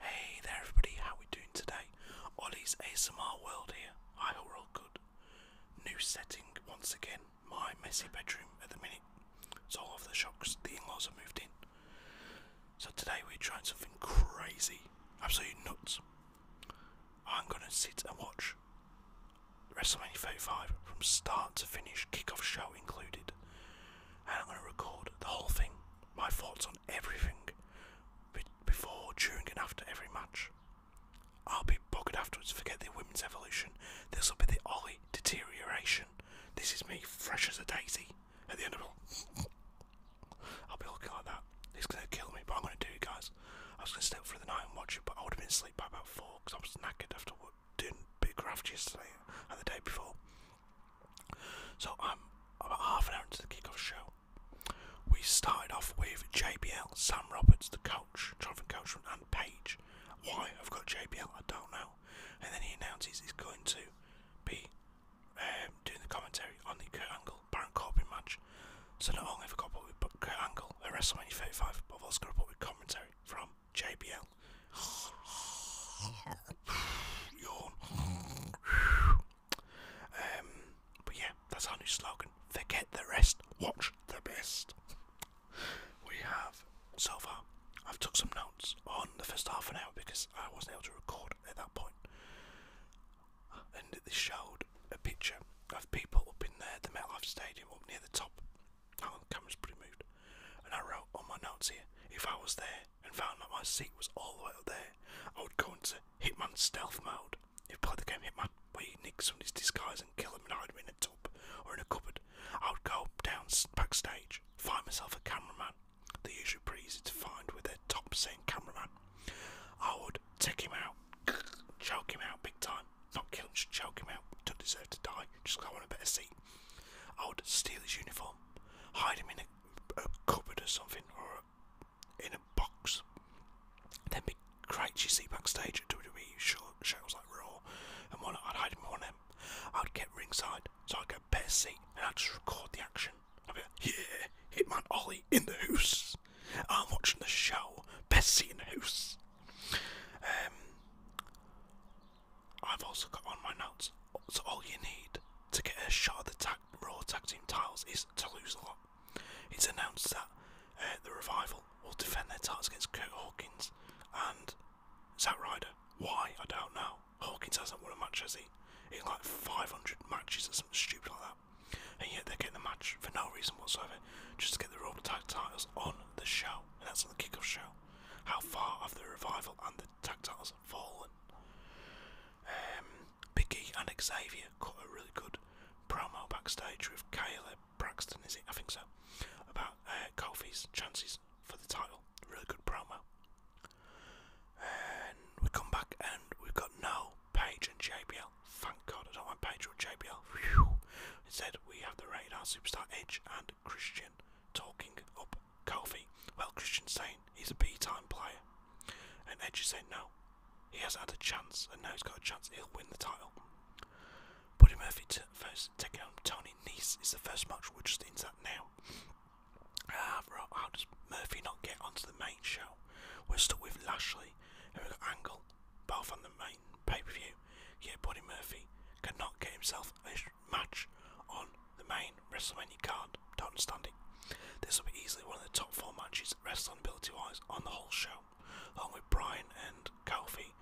Hey there everybody, how we doing today? Ollie's ASMR World here. I hope we good. New setting once again, my messy bedroom at the minute. It's all over the shocks, the in-laws have moved in. So today we're trying something crazy, absolutely nuts. I'm gonna sit and watch WrestleMania 35 from start to finish, kick-off show included, and I'm gonna record the whole thing, my thoughts on everything, before, during, and after every match. I'll be buggered afterwards. Forget the women's evolution. This will be the Ollie deterioration. This is me, fresh as a daisy. At the end of all. I'll be looking like that. It's gonna kill me, but I'm gonna do it, guys. I was gonna stay up for the night and watch it, but I would have been asleep by about four because I was knackered after doing big craft yesterday and the day before. So I'm about half an hour into the kickoff show. We started off with JBL, Sam Roberts, the coach, Jonathan Coachman, and Page. Why I've got JBL, I don't know. And then he announces he's going to be um, doing the commentary on the Kurt Angle Baron Corbin match. So not only have I got what we put Kurt Angle at WrestleMania 35, but I've also got a with commentary from JBL. Yawn. um, but yeah, that's our new slogan. Forget the rest, watch the best. we have so far. I've took some notes on the first half an hour because I wasn't able to record at that point and they showed a picture of people up in there, the MetLife Stadium, up near the top. Oh, the camera's pretty moved. And I wrote on my notes here, if I was there and found that my seat was all the way up there, I would go into Hitman stealth mode. If part of the game Hitman, where you on his disguise and kill him and hide them in a tub or in a cupboard, I would go down backstage, find myself a cameraman. They're usually pretty easy to find with their top saying cameraman. I would take him out, choke him out big time. Not kill him, just choke him out. Don't deserve to die. Just go on a better seat. I would steal his uniform, hide him in a, cupboard or something, or in a box. Then be crazy see backstage at WWE shows like Raw and one I'd hide him in one of I'd get ringside, so I'd get a better seat, and I'd just record the action. Yeah, Hitman Ollie in the house. I'm watching the show. Bessie in the house. Um, I've also got on my notes. So all you need to get a shot of the tag, raw tag team titles is to lose a lot. It's announced that uh, the revival will defend their titles against Kurt Hawkins and Zack Ryder. Why I don't know. Hawkins hasn't won a match, has he? In like 500 matches or something stupid like that. And yet they're getting the match for no reason whatsoever, just to get the Royal Tag Titles on the show, and that's on the kickoff show. How far have the revival and the Tag Titles fallen? Um, Biggie and Xavier cut a really good promo backstage with Kayla Braxton, is it? I think so. About uh, chances for the title. Really good promo and we come back and we've got no Page and JBL. Thank God I don't want Page or JBL. Whew. Instead, we have the radar superstar Edge and Christian talking up Kofi. Well, Christian's saying he's a B time player, and Edge is saying no, he has had a chance, and now he's got a chance he'll win the title. Buddy Murphy t- first taking on Tony Nese is the first match. We're just into now. Ah, uh, how does Murphy not get onto the main show? We're stuck with Lashley, and we've got Angle, both on the main pay per view. Yet Buddy Murphy cannot get himself a match on the main WrestleMania card. Don't understand it. This will be easily one of the top four matches, wrestling ability wise, on the whole show, along with Brian and Kofi,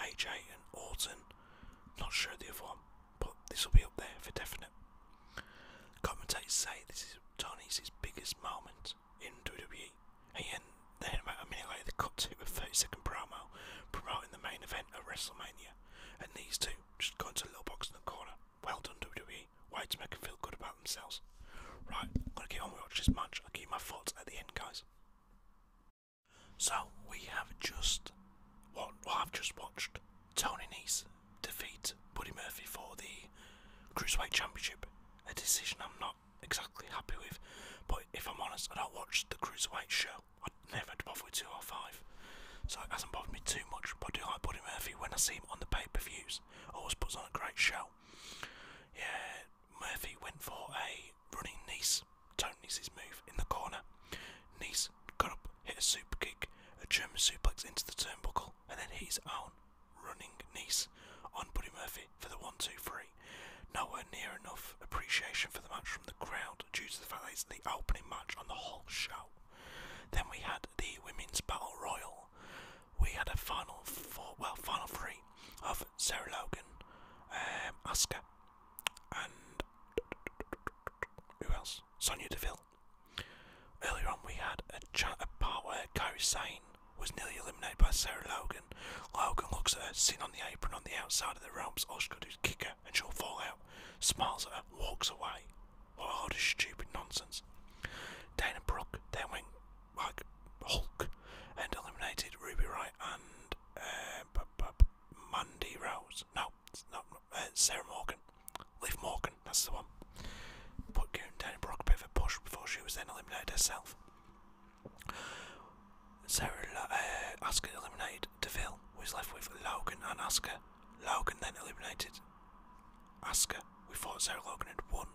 AJ and Orton. Not sure the other one, but this will be up there for definite. Commentators say this is Tony's his biggest moment in WWE. And then about a minute later, they cut to a 30-second promo promoting the main event of WrestleMania. And these two just go into a little box in the corner. Well done, WWE. Way to make them feel good about themselves. Right, I'm gonna keep on with watch this match. i keep my thoughts at the end, guys. So we have just what I've just watched Tony Nese defeat Buddy Murphy for the Cruiserweight Championship. A decision I'm not exactly happy with, but if I'm honest, I don't watch the Cruiserweight show. I never had to bother with five, so it hasn't bothered me too much. But I do like Buddy Murphy when I see him on the pay per views, always puts on a great show. Yeah, Murphy went for a running knee. Nice, Tony's move in the corner. Nice got up, hit a super kick, a German suplex into the turnbuckle, and then his own running niece on Buddy Murphy for the 1 2 3. Nowhere near enough appreciation for the match from the crowd due to the fact it's the opening match on the whole show. Then we had the Women's Battle Royal. We had a final four, well, final three of Sarah Logan, um, Asuka, and who else? Sonya Deville. Earlier on, we had a chat about where Kairi Sane was nearly eliminated by Sarah Logan. Logan looks at her, sitting on the apron on the outside of the ropes. All to is kick her, and she'll fall out. Smiles at her, walks away. What a load stupid nonsense. Dana Brooke then went like Hulk and eliminated Ruby Wright and uh, Mandy Rose. No, not uh, Sarah Morgan. Leave Morgan that's the one. Put Kieran and Brock a bit of a push before she was then eliminated herself. Sarah, uh, eliminated Deville, who was left with Logan and Asuka. Logan then eliminated Asuka. We thought Sarah Logan had won.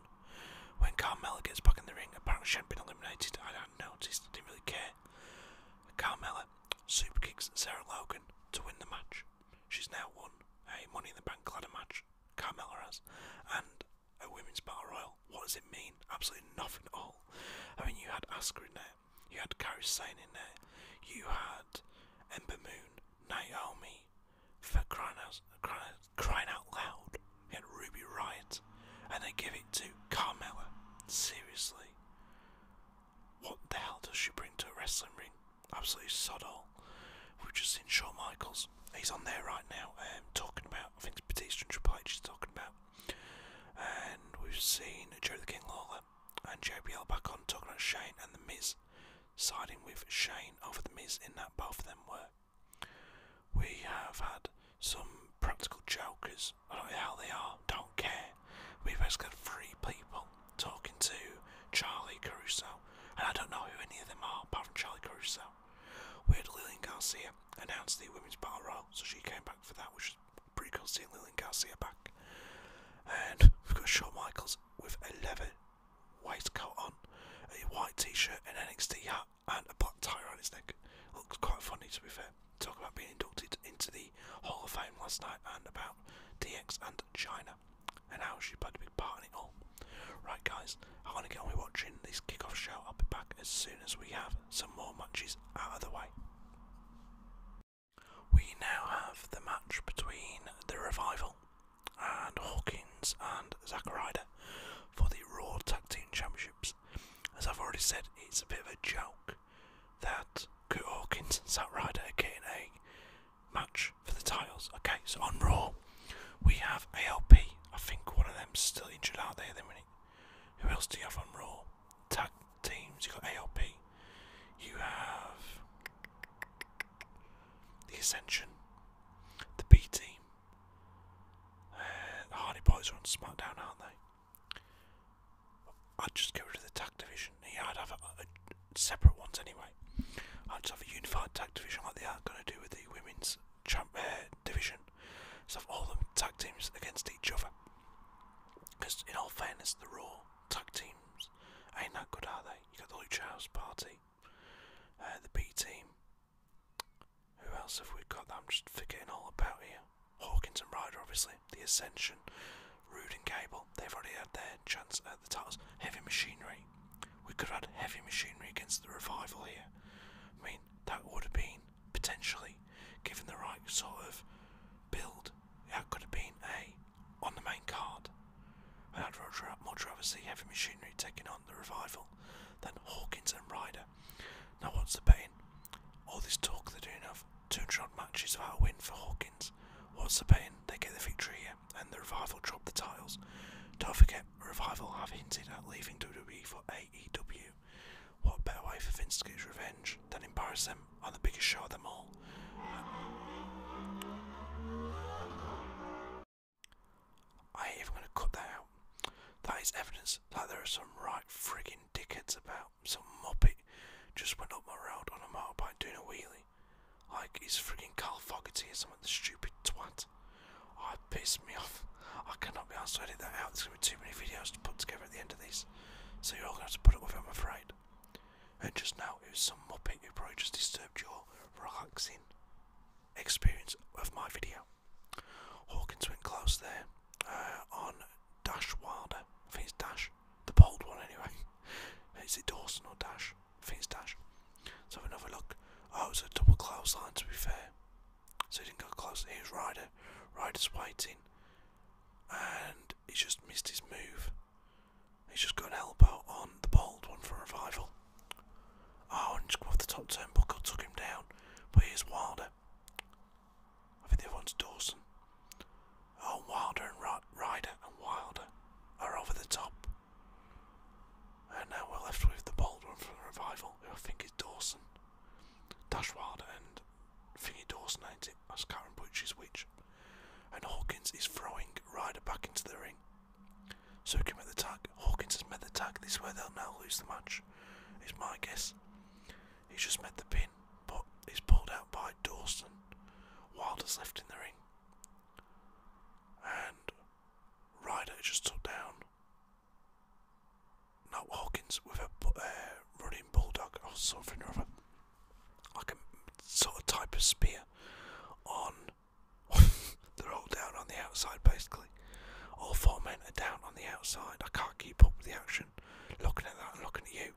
When Carmella gets back in the ring, apparently she had been eliminated. I do not noticed, didn't really care. Carmella super kicks Sarah Logan to win the match. She's now won a Money in the Bank ladder match. Carmella has, and a women's battle royal. What does it mean? Absolutely nothing at all. I mean, you had Asuka in there, you had Kairi Sane in there, you had Ember Moon, Naomi, for crying out, loud, you had Ruby Riot, and they give it to Carmella. Seriously. What the hell does she bring to a wrestling ring? Absolutely sod all. We have just seen Shawn Michaels. He's on there right now, um, talking about, I think it's Batista and Triple H is talking about. And we've seen Jerry the King Lawler and JBL back on talking about Shane and The Miz, siding with Shane over The Miz in that both of them were. We have had some practical jokers, I don't know how they are, don't care. We've basically got three people talking to Charlie Caruso, and I don't know who any of them are apart from Charlie Caruso. We had Lillian Garcia announce the women's bar royal, so she came back for that, which was pretty cool seeing Lillian Garcia back. And we've got Shawn Michaels with a leather waistcoat on, a white t-shirt, an NXT hat, and a black tie around his neck. Looks quite funny, to be fair. Talk about being inducted into the Hall of Fame last night, and about DX and China and how she played to be part in it all. Right, guys, I want to get on with watching this kickoff show. I'll be back as soon as we have some more matches out of the way. We now have the match between the Revival and Hawkins and Zakarida for the Raw Tag Team Championships. As I've already said, it's a bit of a joke that Hawkins and Zakarida are getting a match for the titles. Okay, so on Raw, we have ALP. I think one of them's still injured out there at the Who else do you have on Raw? Tag teams. You got ALP. You have the Ascension, the B Team. Uh, the Hardy Boys are on SmackDown, aren't they? I'd just get rid of the tag division. Yeah, I'd have separate ones anyway. I'd just have a unified tag division like they are going to do with the women's champ, uh, division. So all the tag teams against each other. Because in all fairness, the Raw tag teams ain't that good, are they? You got the Lucha Party, uh, the B Team. Who else have we got? That I'm just forgetting all about here. Hawkins and Ryder, obviously. The Ascension, Rude and Gable. They've already had their chance at the titles. Heavy Machinery way. We could have had heavy machinery against the revival here. I mean, that would have been potentially, given the right sort of build, that could have been a on the main card. I'd much rather see heavy machinery taking on the revival than Hawkins and Ryder. Now, what's the betting? All this talk they're doing of 200 odd matches without a win for Hawkins. What's the betting? They get the victory here and the Revival dropped the titles. Don't forget, Revival have hinted at leaving WWE for AEW. What better way for Vince to get his revenge than embarrass them on the biggest show of them all? I ain't even gonna cut that out. That is evidence that there are some right friggin' dickheads about. Some muppet just went up my road on a motorbike doing a wheelie. Like he's friggin' Carl Fogarty or something, the stupid twat. I Oh, pissed me off. I cannot be asked to edit that out. There's going to be too many videos to put together at the end of these. So you're all going to have to put up with it, I'm afraid. And just now, it was some muppet who probably just disturbed your relaxing experience of my video. Hawkins went close there uh, on Dash Wilder. I think it's Dash. The bold one, anyway. Is it Dawson or Dash? things dash. Let's have another look. Oh, it's a double close line. to be fair. So he didn't go close. Here's Ryder. Ryder's waiting. And he just missed his move. He's just got help out on the bold one for revival. Oh, and just go off the top turnbuckle, took him down. But he's Wilder. I think the other one's Dawson. Oh, Wilder and Ryder and Wilder are over the top. And now we're left with the bold one from the revival, who I think is Dawson. Dashwad and Thingy Dawson, ain't it? I can't remember which is which. And Hawkins is throwing Ryder back into the ring. So he can make the tag. Hawkins has made the tag. This way they'll now lose the match, It's my guess. He's just made the pin, but he's pulled out by Dawson. Wild is left in the ring. And Ryder just took down. Now Hawkins with a uh, running bulldog or something or like a sort of type of spear on. They're all down on the outside basically. All four men are down on the outside. I can't keep up with the action. Looking at that looking at you.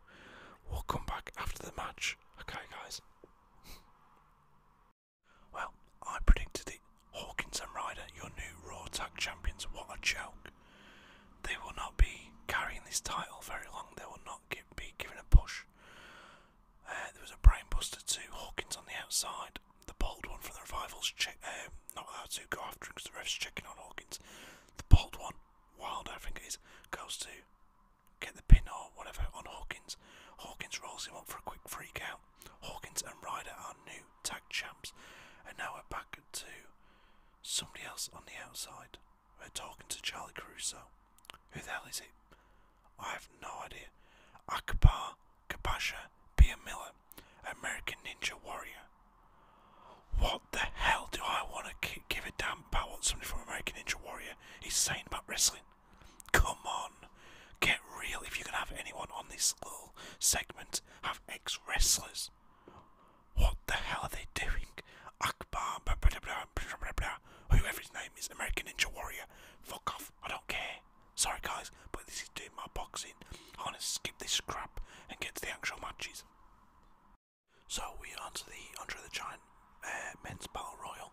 We'll come back after the match. Okay, guys. Well, I predicted it. Hawkins and Ryder, your new Raw Tag Champions, what a joke. They will not be carrying this title very long, they will not be given a push. Uh, there was a brainbuster too, Hawkins on the outside. The bold one from the revivals, check, um, not allowed to go after him because the ref's checking on Hawkins. The bold one, Wild I think it is, goes to get the pin or whatever on Hawkins. Hawkins rolls him up for a quick freak out. Hawkins and Ryder are new tag champs, and now we're back to somebody else on the outside. We're talking to Charlie Caruso. Who the hell is it? I have no idea. Akbar Kabasha Bia Miller, American Ninja Warrior. What the hell do I want to give a damn about what somebody from American Ninja Warrior is saying about wrestling? Come on, get real. If you can have anyone on this little segment, have ex wrestlers. What the hell are they doing? Akbar, blah, blah, blah, blah, blah, whoever his name is, American Ninja Warrior. Fuck off, I don't care. Sorry, guys, but this is doing my boxing. I want to skip this crap and get to the actual matches. So we are on to the Andre the Giant uh, Men's Battle Royal.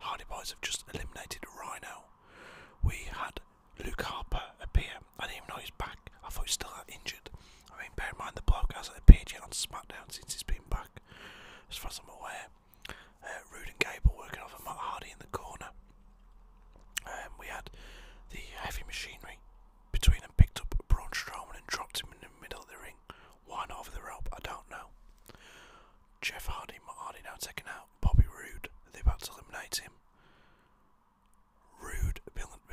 Hardy Boys have just eliminated Rhino. We had Luke Harper appear. and even know he's back. I thought he's still out injured. I mean, bear in mind the bloke hasn't appeared on SmackDown since he's been back, as far as I'm aware. Uh, Rude and Gable working off of Matt Hardy in the corner. Um, we had the heavy machinery between them picked up Braun Strowman and dropped him in the middle of the ring. one over the rope? I don't know. Jeff Hardy, Hardy now taken out. Bobby Roode, they're about to eliminate him. Roode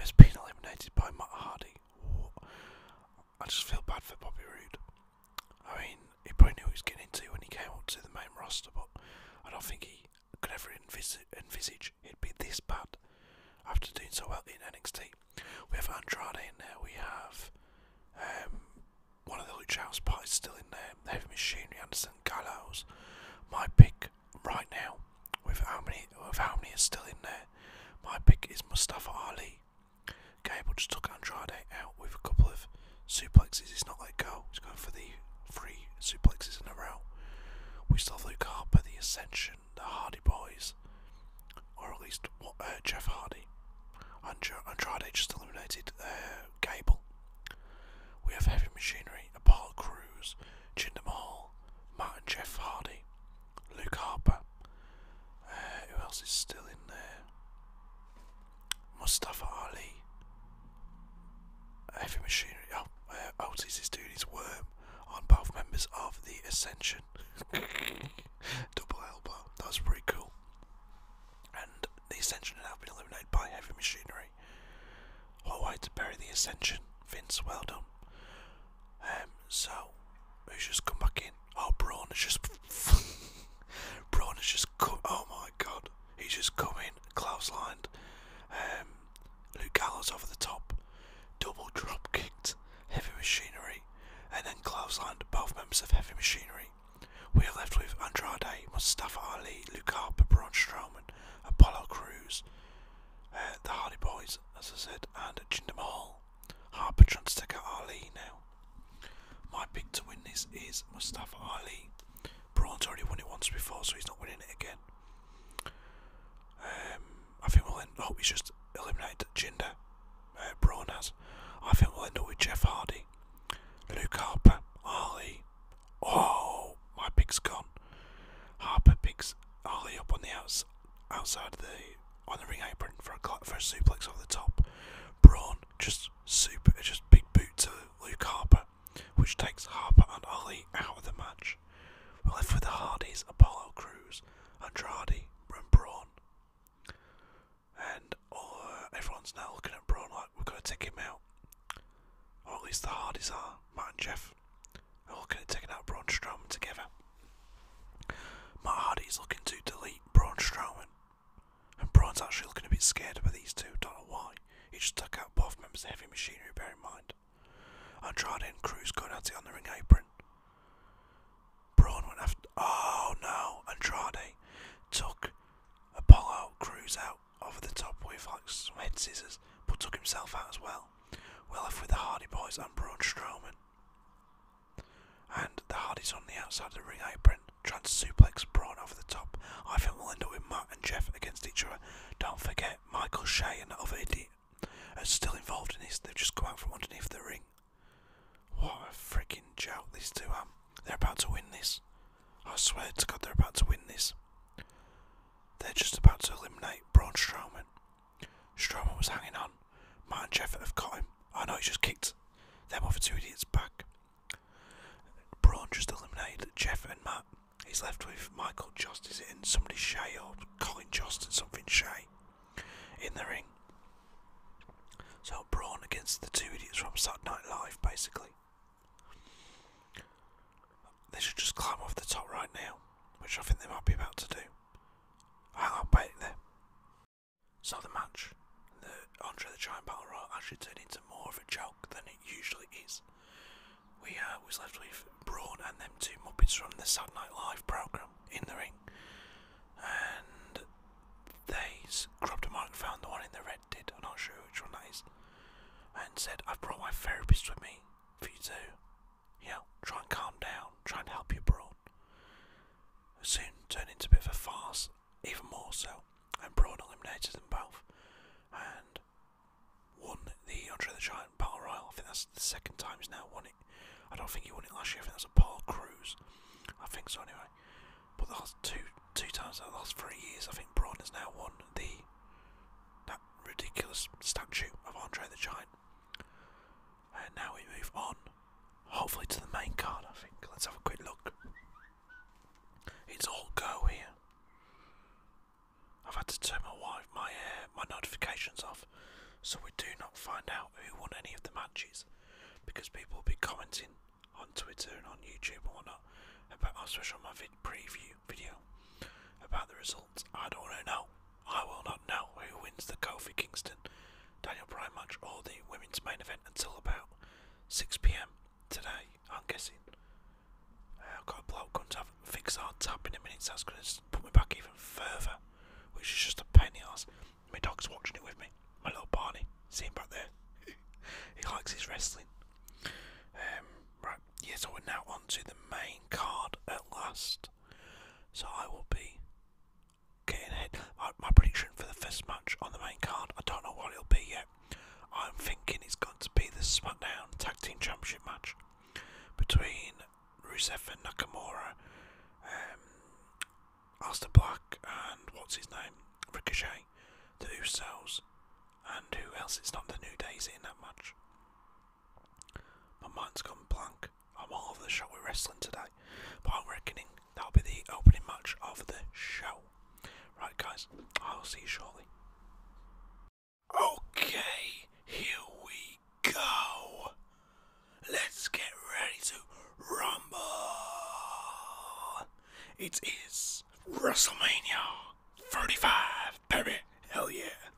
has been eliminated by Matt Hardy. I just feel bad for Bobby Roode. I mean, he probably knew what he was getting into when he came up to the main roster, but I don't think he could ever envisage it'd be this bad after doing so well in NXT. We have Andrade in there, we have um, one of the Luch House parties still in there. Heavy Machinery, Anderson, Gallows. My pick right now, with how many with how many is still in there, my pick is Mustafa Ali. Gable just took Andrade out with a couple of suplexes. He's not let go. He's going for the three suplexes in a row. We still have Luke Harper, the Ascension, the Hardy Boys, or at least what, uh, Jeff Hardy. Andrade just eliminated uh, Gable. We have Heavy Machinery, Apollo Crews, Jinder Mahal, Matt and Jeff Hardy, Luke Harper. Uh, who else is still in there? Mustafa Ali. Heavy Machinery. Oh, uh, Otis is doing his worm on both members of the Ascension. Double elbow. That's pretty cool and the Ascension had now been eliminated by heavy machinery. All right, to bury the Ascension. Vince, well done. Um, so, who's just come back in? Oh, Braun has just. Braun has just come. Oh my god. He's just come in. Klaus lined. Um, Luke Gallows over the top. Double drop kicked. Heavy machinery. And then Klaus lined both members of Heavy Machinery. We are left with Andrade, Mustafa Ali, Lukaku, Braun Strowman, Apollo Cruz, uh, the Hardy Boys, as I said, and Jinder Mahal. Harper tries to take out Ali now. My pick to win this is Mustafa Ali. Braun's already won it once before, so he's not winning it again. Um, I think we'll end. hope he's just eliminated Jinder uh, Braun has. I think we'll end up with Jeff Hardy, Luke Harper, Harley. Oh, my pick's gone. Harper picks Ali up on the outs outside the on the ring apron for a for a suplex over the top. Braun just super just big boot to Luke Harper, which takes Harper and Ali out of the match. We're left with the Hardys, Apollo Crews, Andrade, and Braun and uh, everyone's now looking at Braun like we're gonna take him out. Or at least the Hardys are, Matt and Jeff are looking at taking out Braun Strowman together. Matt Hardy's looking to delete Braun Strowman, and Braun's actually looking a bit scared by these two. Don't know why. He just took out both members of Heavy Machinery. Bear in mind, Andrade and Cruz going at it on the ring apron. Braun went after. Oh no, Andrade took Apollo crews out, over the top with like some scissors, but took himself out as well. Well, are with the Hardy Boys and Braun Strowman. And the Hardys on the outside of the ring apron, trying to suplex Braun over the top. I think we'll end up with Matt and Jeff against each other. Don't forget, Michael Shea and that other idiot are still involved in this. They've just come out from underneath the ring what a freaking joke these two are. They're about to win this. I swear to God, they're about to win this. They're just about to eliminate Braun Strowman. Strowman was hanging on. Matt and Jeff have caught him. I know, he just kicked them off other two idiots back. Braun just eliminated Jeff and Matt. He's left with Michael Jost, is And somebody Shay or Colin Jost and something Shay in the ring. So Brawn against the two idiots from Saturday Night Live, basically. They should just climb off the top right now, which I think they might be about to do. Hang on, wait there. So the match, the Andre the Giant Battle Royal, actually turned into more of a joke than it usually is. We uh, were left with Brawn and them two Muppets from the Saturday Night Live program in the ring, and they grabbed a microphone, the one in the ring Fred did, I'm not sure which one that is, and said, I've brought my therapist with me for you to, you know, try and calm down, try and help you, brawn. soon turned into a bit of a farce, even more so, and Braun eliminated them both and won the Andre the Giant Battle Royal. I think that's the second time he's now won it. I don't think he won it last year, I think that's a Paul Cruz. I think so anyway. But the last two two times in the last three years, I think Braun has now won the that ridiculous statue of Andre the Giant. And now we move on, hopefully to the main card. I think. Let's have a quick look. It's all go here. I've had to turn my wife, my uh, my notifications off, so we do not find out who won any of the matches, because people will be commenting on Twitter and on YouTube or not, about my special my vid preview video about the results. I don't know. I will not know who wins the Kofi Kingston Daniel Bryan match or the women's main event until about 6 pm today, I'm guessing. Uh, I've got a bloke going to have fix our tap in a minute, so that's going to put me back even further, which is just a pain in the arse. My dog's watching it with me my little Barney, see him back there. he likes his wrestling. Um, right, yeah, so we're now on to the main card at last. So I will be getting ahead. My, prediction for the first match on the main card, I don't know what it'll be yet. I'm thinking it's going to be the SmackDown Tag Team Championship match between Rusev and Nakamura. Um, Alistair Black and what's his name? Ricochet, the Usos, and who else? is not the New Day's in that match. My mind's gone blank. I'm all over the shop are wrestling today, but I'm reckoning that'll be the opening match of the show. Right, guys, I'll see you shortly. Okay, here we go. Let's get ready to rumble. It is WrestleMania 35, baby. Hell yeah.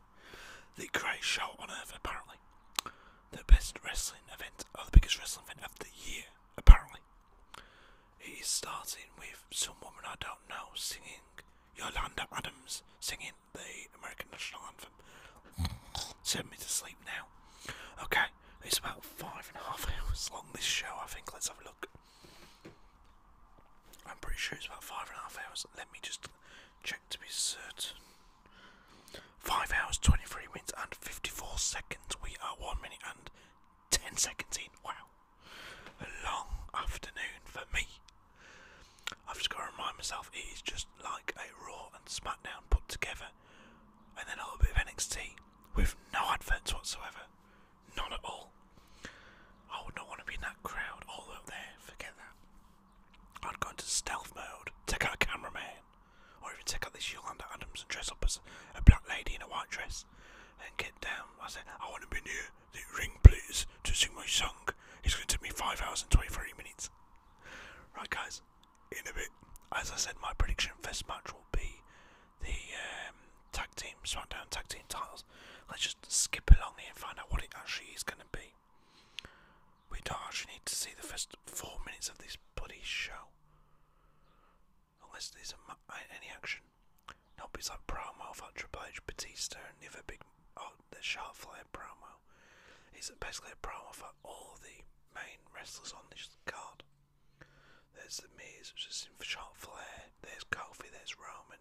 The greatest show on earth, apparently. The best wrestling event, or the biggest wrestling event of the year, apparently. It is starting with some woman I don't know singing Yolanda Adams singing the American National Anthem. Send me to sleep now. Okay, it's about five and a half hours long, this show, I think. Let's have a look. I'm pretty sure it's about five and a half hours. Let me just check to be certain. Five hours, 23 minutes, and 54 seconds. We are one minute and 10 seconds in. Wow. A long afternoon for me. I've just got to remind myself it is just like a Raw and SmackDown put together, and then a little bit of NXT with no adverts whatsoever. None at all. I would not want to be in that crowd all up there, forget that. I'd go into stealth mode, take out a cameraman, or even take out this Yolanda Adams and dress up as a black lady in a white dress and get down. I said, I want to be near the ring, blazers to sing my song. It's going to take me 5 hours and 23 minutes. Right, guys, in a bit. As I said, my prediction for this match will be the um, tag team SmackDown tag team titles. Let's just skip along here and find out what it actually is going to be. We don't actually need to see the first four minutes of this bloody show, unless there's any action. Nope, it's like promo for Triple H, Batista, and never big, oh, the Sharp Flair promo. It's basically a promo for all the main wrestlers on this card. There's the maze, which is in shot flair. There's Kofi, there's Roman,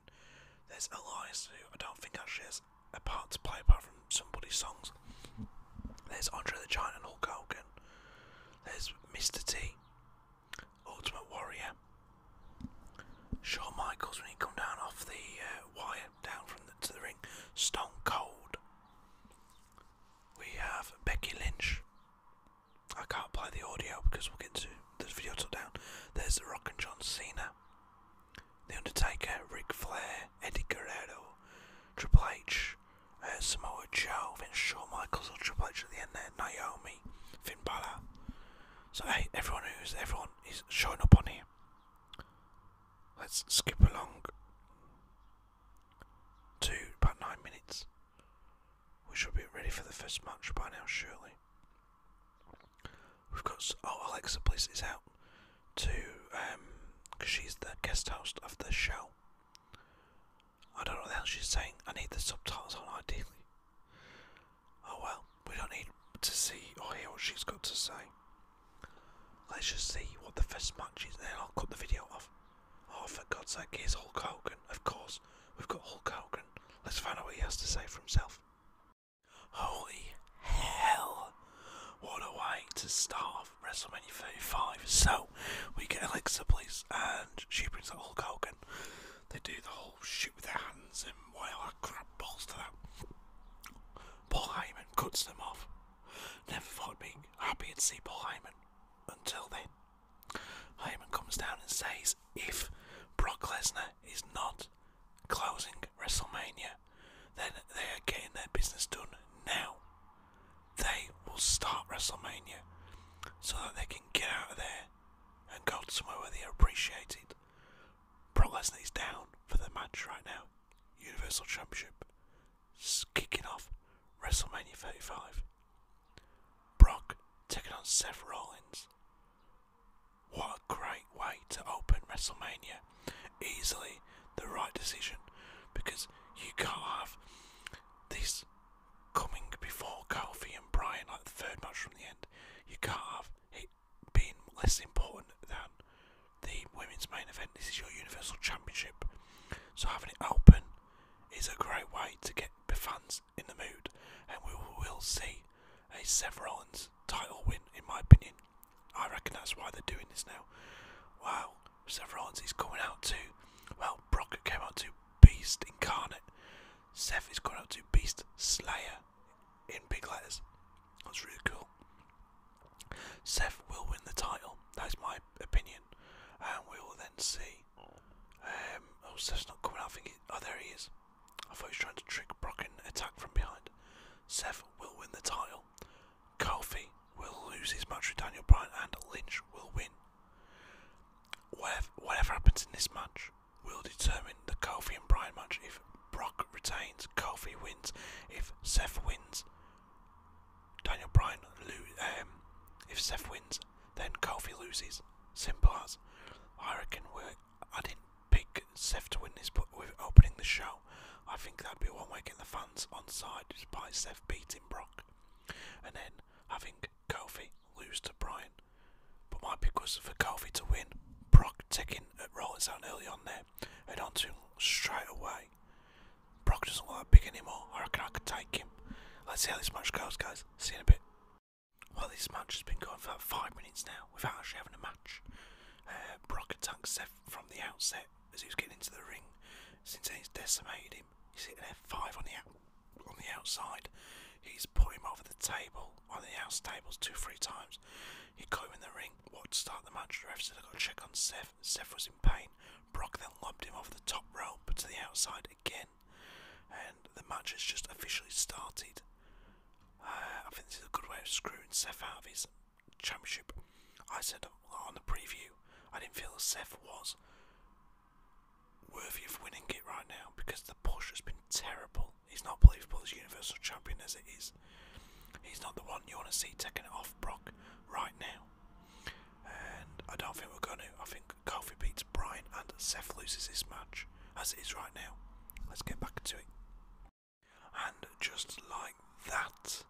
there's Elias, too. I don't think actually has a part to play apart from somebody's songs. There's Andre the Giant and Hulk Hogan. There's Mr. T, Ultimate Warrior. Shawn Michaels when he come down off the uh, wire down from to the ring. Stone Cold. We have Becky Lynch. I can't play the audio because we'll get to this video took down. There's The Rock and John Cena, The Undertaker, Ric Flair, Eddie Guerrero, Triple H, uh, Samoa Joe, Vince Shawn Michaels, or Triple H at the end there, Naomi, Finn Balor. So hey, everyone who's everyone is showing up on here. Let's skip along to about nine minutes. We should be ready for the first match by now, surely. We've got oh Alexa Bliss is out to um because she's the guest host of the show. I don't know what the hell she's saying. I need the subtitles on ideally. Oh well, we don't need to see or hear what she's got to say. Let's just see what the first match is, and then I'll cut the video off. Oh, for God's sake, here's Hulk Hogan. Of course, we've got Hulk Hogan. Let's find out what he has to say for himself. Holy hell! What a way to start WrestleMania 35. So, we get Alexa please, and she brings out Hulk Hogan. They do the whole shoot with their hands and while that crap balls to that. Paul Heyman cuts them off. Never thought I'd happy to see Paul Heyman. Until then. Heyman comes down and says if Brock Lesnar is not closing WrestleMania, then they are getting their business done now. They will start WrestleMania so that they can get out of there and go somewhere where they are appreciated. Brock Lesnar is down for the match right now. Universal Championship kicking off WrestleMania 35. Brock taking on Seth Rollins. What a great way to open WrestleMania. Easily the right decision because you can't have this coming before Kofi and Bryan like the third match from the end. You can't have it being less important than the women's main event. This is your Universal Championship. So having it open is a great way to get the fans in the mood, and we will see a Seth Rollins title win, in my opinion. I reckon that's why they're doing this now. Wow, Seth Rollins is coming out to, well, Brock came out to Beast Incarnate. Seth is going out to Beast Slayer in big letters. That's really cool. Seth will win the title. That is my opinion and we will then see. Um, oh, Seth's not coming. I think. oh, there he is. I thought he was trying to trick Brock and attack from behind. Seth will win the title. Kofi will lose his match with Daniel Bryan, and Lynch will win. Whatever, happens in this match will determine the Kofi and Bryan match. If Brock retains, Kofi wins. If Seth wins, Daniel Bryan lose. Um, if Seth wins, then Kofi loses. Simple as. I reckon we're. I didn't pick Seth to win this, but with opening the show, I think that'd be one way getting the fans on side by Seth beating Brock, and then having Kofi lose to Brian. But my pick was for Kofi to win. Brock taking at Rollins down early on there, and onto him straight away. Brock doesn't look that big anymore. I reckon I could take him. Let's see how this match goes, guys. See you in a bit. Well, this match has been going for about five minutes now without actually having a match. Uh, Brock had attacked Seth from the outset as he was getting into the ring. Since he's decimated him, he's hitting F5 on the on the outside. He's put him over the table, on the outside tables, two, three times. He got him in the ring. What to start the match? The ref said, i got to check on Seth. Seth was in pain. Brock then lobbed him off the top rope to the outside again and the match has just officially started. Uh, I think this is a good way of screwing Seth out of his championship. I said on the preview, I didn't feel Seth was worthy of winning it right now because the push has been terrible. He's not believable as Universal Champion as it is. He's not the one you want to see taking it off Brock right now. And I don't think we're going to. I think Kofi beats Bryan and Seth loses his match as it is right now. Let's get back to it. And just like that,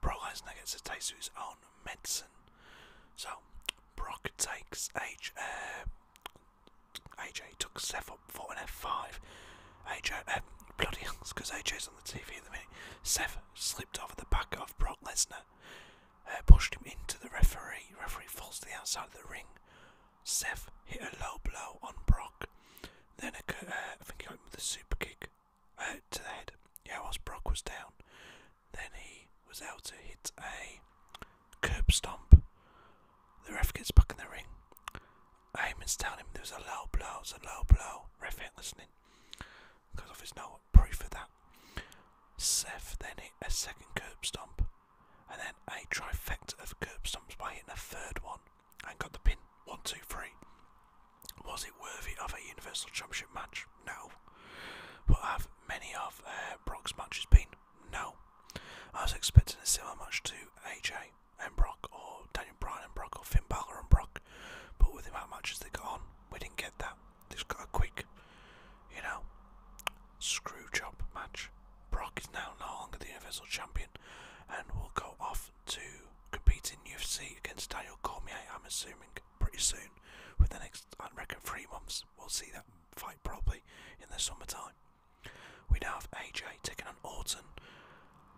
Brock Lesnar gets a taste of his medicine. So Brock takes H, uh, AJ took Seth up for an F5. AJ, uh, bloody hell, because AJ's on the TV at the minute. Seth slipped off the back of Brock Lesnar. Uh, pushed him into the referee. Referee falls to the outside of the ring. Seth hit a low blow on Brock. Then uh, I think he went with a super kick uh, to the head. Yeah, whilst Brock was down. Then he was able to hit a curb stomp. The ref gets back in the ring. Heyman's telling him there was a low blow, it's a low blow. Ref ain't listening. Because there's no proof of that. Seth then hit a second curb stomp and then a trifecta of curb stumps by hitting the third one and got the pin. One, two, three. Was it worthy of a Universal Championship match? No. But have many of uh, Brock's matches been? No. I was expecting a similar match to AJ and Brock, or Daniel Bryan and Brock, or Finn Balor and Brock, but with the amount of matches they got on, we didn't get that. This got a quick, you know, screw job match. Brock is now no longer the Universal Champion and will go off to compete in UFC against Daniel Cormier, I'm assuming, pretty soon. Within the next, I reckon, three months, we'll see that fight probably in the summertime. We now have AJ taking on Orton.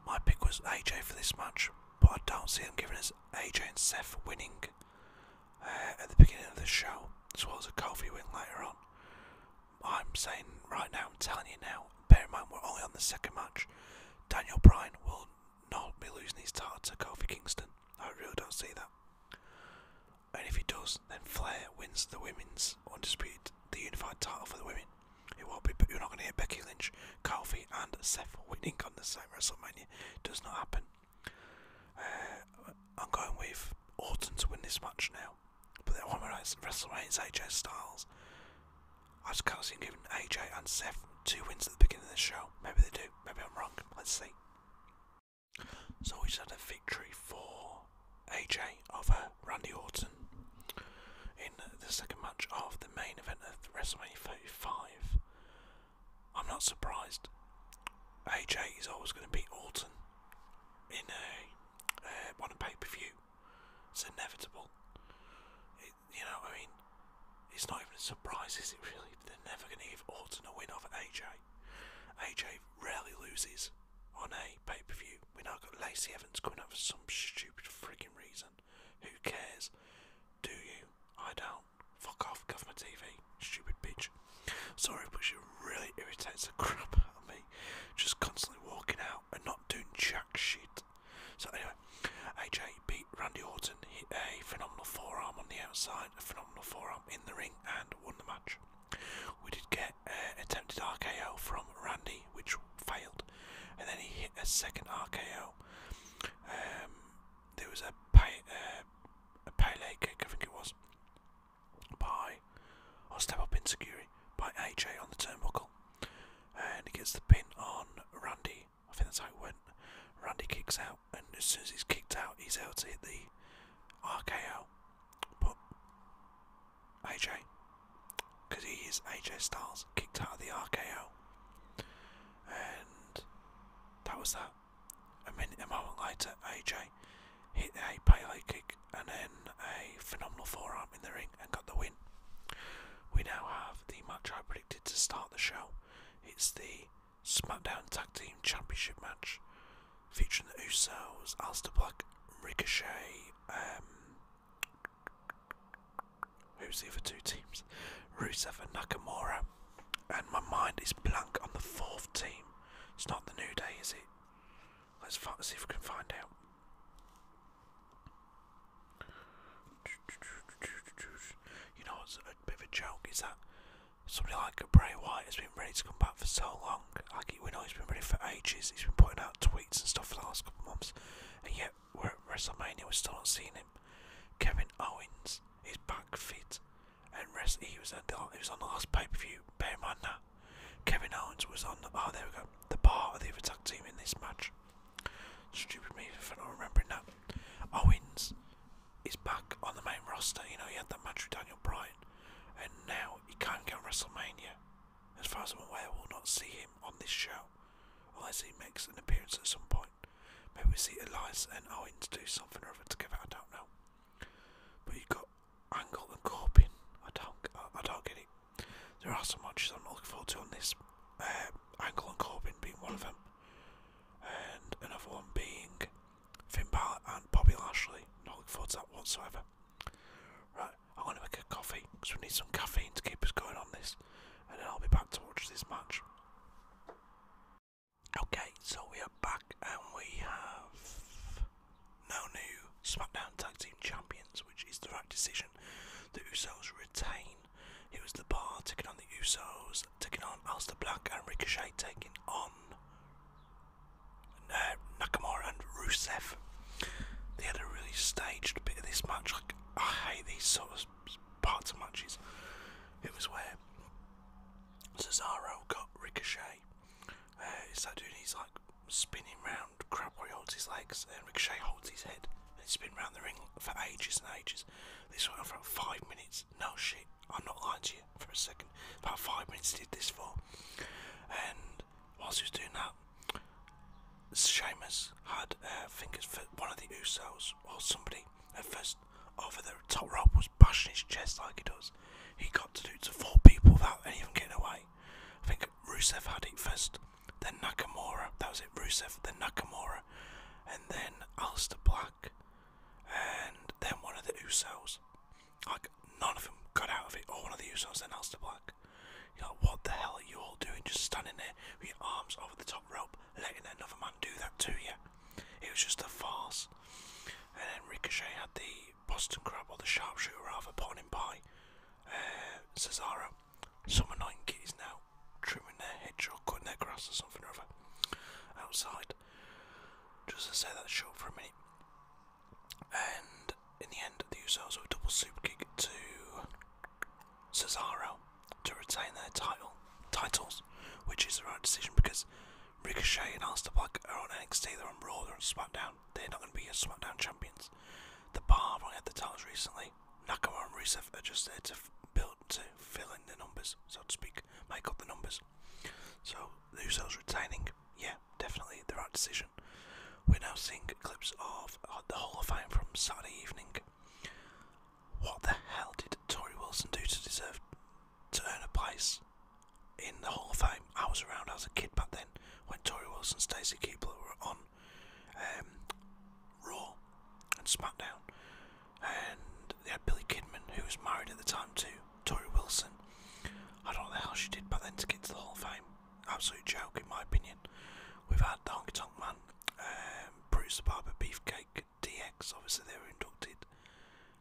My pick was AJ for this match, but I don't see him giving us AJ and Seth winning uh, at the beginning of the show, as well as a coffee win later on. I'm saying right now, I'm telling you now, bear in mind we're only on the second match. Daniel Bryan will not be losing his title to Kofi Kingston. I really don't see that. And if he does, then Flair wins the women's undisputed, the unified title for the women. It won't be, but you're not going to hear Becky Lynch, Kofi, and Seth winning on the same WrestleMania. It does not happen. Uh, I'm going with Orton to win this match now. But then when we're at WrestleMania's AJ Styles, I just can't see him giving AJ and Seth two wins at the beginning of the show. Maybe they do. Maybe I'm wrong. Let's see. So we just had a victory for AJ over Randy Orton in the second match of the main event of WrestleMania 35. I'm not surprised. AJ is always going to beat Orton in a uh, on a pay per view. It's inevitable. you know, I mean, it's not even a surprise, is it? Really, they're never going to give Orton a win over AJ. AJ rarely loses on a pay per view. We now got Lacey Evans going out for some stupid frigging reason. Who cares? Do you? I don't. Fuck off, cover my TV stupid bitch. Sorry, but she really irritates the crap out of me. Just constantly walking out and not doing jack shit. So anyway, AJ beat Randy Orton, hit a phenomenal forearm on the outside, a phenomenal forearm in the ring, and won the match. We did get an attempted RKO from Randy, which failed, and then he hit a second RKO. Um, there was a pay, uh, a Pele kick, I think it was, by, or step up in security, by AJ on the turnbuckle. And he gets the pin on Randy. I think that's how it went. Randy kicks out, and as soon as he's kicked out, he's able to hit the RKO. But AJ, because he is AJ Styles, kicked out of the RKO. And that was that. A minute, a moment later, AJ hit a Pele kick and then a phenomenal forearm in the ring and got the win. We now have the match I predicted to start the show. It's the SmackDown Tag Team Championship match featuring the Usos, Alistair Black, Ricochet, um, who's the other two teams? Rusev and Nakamura. And my mind is blank on the fourth team. It's not the New Day, is it? Let's see if we can find out. You know what's a bit of a joke is that somebody like Bray White has been ready to come back for so long. Like we know he's been ready for ages. He's been putting out tweets and stuff for the last couple of months, and yet we're at WrestleMania. We're still not seeing him. Kevin Owens is back fit and rest. He was on the last pay per view. Bear in mind that Kevin Owens was on. The, oh, there we go. The part of the other tag team in this match. Stupid me for not remembering that. Owens is back on the main roster. You know he had that match with Daniel Bryan, and now he can't go to WrestleMania. As far as I'm aware, we'll not see him on this show, unless he makes an appearance at some point. Maybe we see Elias and Owens do something or other together. I don't know. But you got got angle and Corbin. I don't, I, don't get it. There are so much I'm not looking forward to on this. Uh, angle and Corbin being one of them, and another one being Finn Balor and Bobby Lashley. Not looking forward to that whatsoever. Right, I'm going to make a coffee because we need some caffeine to keep us going on this, and then I'll be back to watch this match. Okay, so we are back and we have no new SmackDown Tag Team Champions, which is the right decision. The Usos retain. It was The Bar taking on the Usos, taking on Alistair Black and Ricochet, taking on uh, Nakamura and Rusev. They had a really staged bit of this match. I hate these sort of parts of matches. It was where Cesaro got Ricochet uh, it's he's like spinning round. Crabboy holds his legs and Ricochet holds his head. And he's spinning round the ring for ages and ages. This went on for about five minutes. No shit, I'm not lying to you for a second. About five minutes did this for. And whilst he was doing that, Sheamus had uh, fingers for one of the Usos while somebody at first over the top rope was bashing his chest like he does he got to do to four people without even getting away. I think Rusev had it first, then Nakamura. That was it, Rusev, then Nakamura, and then Alistair Black, and then one of the Usos. Like, none of them got out of it, or one of the Usos, then Alistair Black. like, what the hell are you all doing? Just standing there with your arms over the top rope, letting another man do that to you. It was just a farce. And then Ricochet had the Boston Crab or the Sharpshooter rather, putting him uh, by Cesaro. Summer Night kitties now trimming their hedge or cutting their grass or something or other outside. Just to say that short for a minute. And in the end, the Usos were double superkick to Cesaro to retain their title titles, which is the right decision because Ricochet and Austin Black are on NXT, they're on Raw, they're on SmackDown. They're not going to be your SmackDown champions. The Bar have only the towers recently. Nakamura and Rusev are just there to build to fill in the numbers, so to speak, make up the numbers. So the Usos retaining, yeah, definitely the right decision. We're now seeing clips of uh, the Hall of Fame from Saturday evening. What the hell did Tori Wilson do to deserve to earn a place in the Hall of Fame. I was around, I was a kid back then when Tori Wilson, Stacy Keebler were on um, Raw and SmackDown, and they had Billy Kidman, who was married at the time to Tori Wilson. I don't know how she did back then to get to the Hall of Fame. Absolute joke, in my opinion. We've had the Honky Tonk Man, um, Bruce the Barber, Beefcake, DX. Obviously, they were inducted.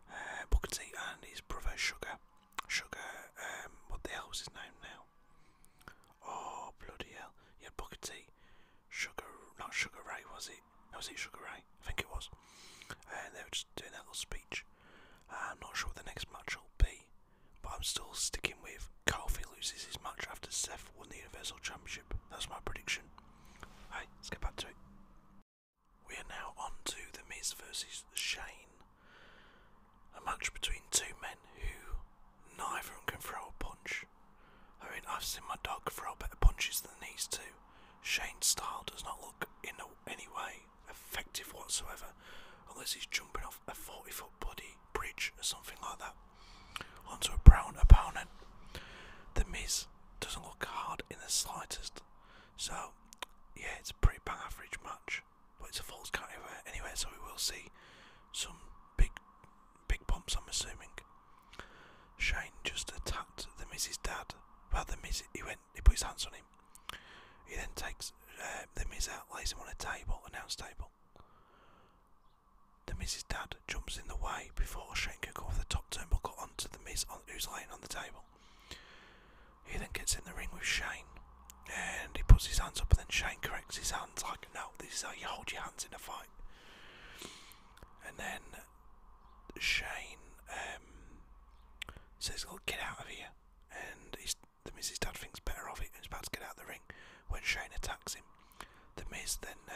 Uh, Booker T and his brother Sugar. Sugar, um, what the hell was his name now? Oh, bloody hell. Yeah, Booker T. Sugar, not Sugar Ray, was it? No, was it Sugar Ray? I think it was. And they were just doing that little speech. Uh, I'm not sure what the next match will be, but I'm still sticking with Kofi loses his match after Seth won the Universal Championship. That's my prediction. Alright, let's get back to it. We're now on to The Miz versus the Shane. A match between two men who neither of them can throw a punch. I mean, I've seen my dog throw better punches than these two. Shane's style does not look in any way effective whatsoever, unless he's jumping off a 40 foot body bridge or something like that onto a brown opponent. The Miz doesn't look hard in the slightest. So, yeah, it's a pretty bang average match but it's a false count uh, anyway, so we will see some big, big bumps. I'm assuming. Shane just attacked the Mrs. Dad. about the Miz, he went, he put his hands on him. He then takes uh, the Miss out, lays him on a table, a announce table. The Miz's dad jumps in the way before Shane can go off the top turnbuckle onto the Miss on, who's laying on the table. He then gets in the ring with Shane and he puts his hands up, and then Shane corrects his hands like, "No, this is how you hold your hands in a fight." And then Shane um, says, says, will get out of here," and the Miz's dad thinks better of it and is about to get out of the ring when Shane attacks him. The Miz then uh,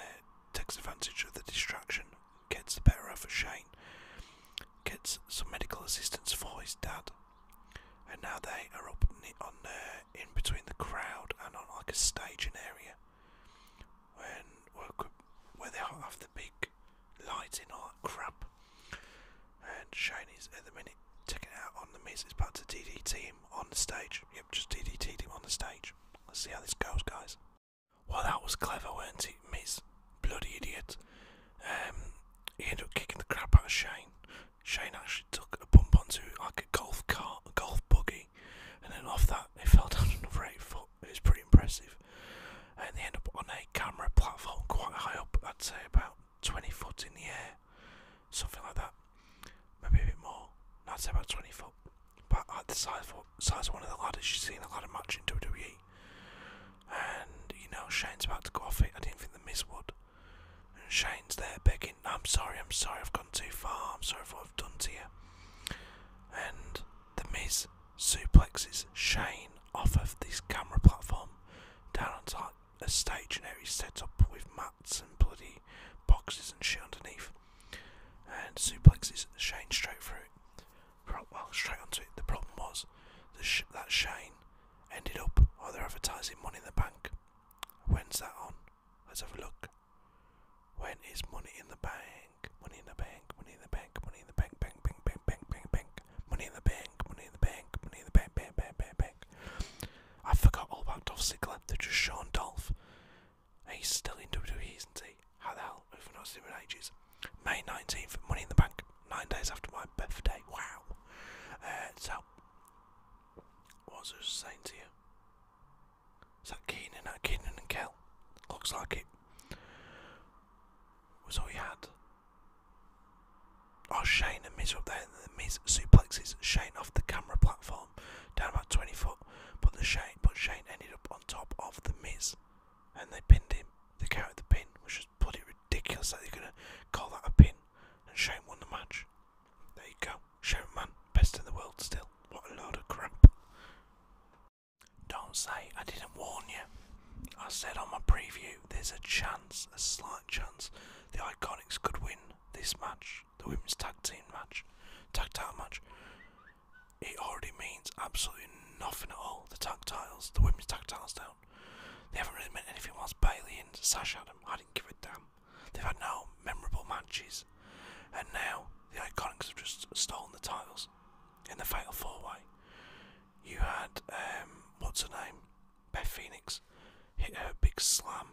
takes advantage of the distraction, gets the better of Shane, gets some medical assistance for his dad, and now they are up on there, uh, in between the crowd and on like a staging area when where, they have the big lighting all that crap and Shane is at the minute taking out on the Miz it's about to DDT him on the stage yep just DDT him on the stage let's see how this goes guys well that was clever weren't it Miz bloody idiot. Um, he ended up kicking the crap out of Shane. Shane actually took a bump onto like a golf cart, a golf buggy, and then off that it fell down another eight foot. It was pretty impressive. And they end up on a camera platform quite high up, I'd say about 20 foot in the air, something like that. Maybe a bit more. No, I'd say about 20 foot. But at the size of, size one of the ladders you have seen a lot ladder match in WWE and you know Shane's about to go off it. I didn't think the miss would. And Shane's there begging, "I'm sorry, I'm sorry, I've gone too far. I'm sorry for what I've done to you." And the Miz suplexes Shane off of this camera platform down on top a stage and area set up with mats and bloody boxes and shit underneath. And suplexes Shane straight through it. Well, straight onto it. The problem was that Shane ended up, oh, they're advertising Money in the Bank. When's that on? Let's have a look. When is Money in the Bank? Money in the Bank, Money in the Bank, Money in the Bank, Bank, Bank, Bank, Bank, Bank, Bank, Money in the Bank, Money in the Bank, Money in the Bank, Bank, Bank, Bank, Bank. I forgot all about Dolph Ziggler. They're just Sean Dolph. He's still in WWE, isn't he? How the hell? We've not seen him in ages. May 19th, Money in the Bank nine days after my birthday. Wow. Uh, so, what was I saying to you? Is that Keenan? Uh, Keenan and Kel? Looks like it. Was all he had. Oh, Shane and Miz up there. And Miz suplexes Shane off the camera platform, down about 20 foot. But the Shane, but Shane ended up on top of the Miz, and they pinned him. They counted the pin, which was just bloody ridiculous that they're gonna call that a pin and Shane won the match. There you go. Shane man, best in the world still. What a load of crap. Don't say I didn't warn you. I said on my preview there's a chance, a slight chance, the Iconics could win this match, the women's tag team match, tag title match. It already means absolutely nothing at all. The tag titles, the women's tag titles down. They haven't really meant anything whilst Bailey and Sash had them. I didn't give a damn. They've had no memorable matches. And now the Iconics have just stolen the titles in the Fatal 4 way. You had, um, what's her name? Beth Phoenix hit her big slam,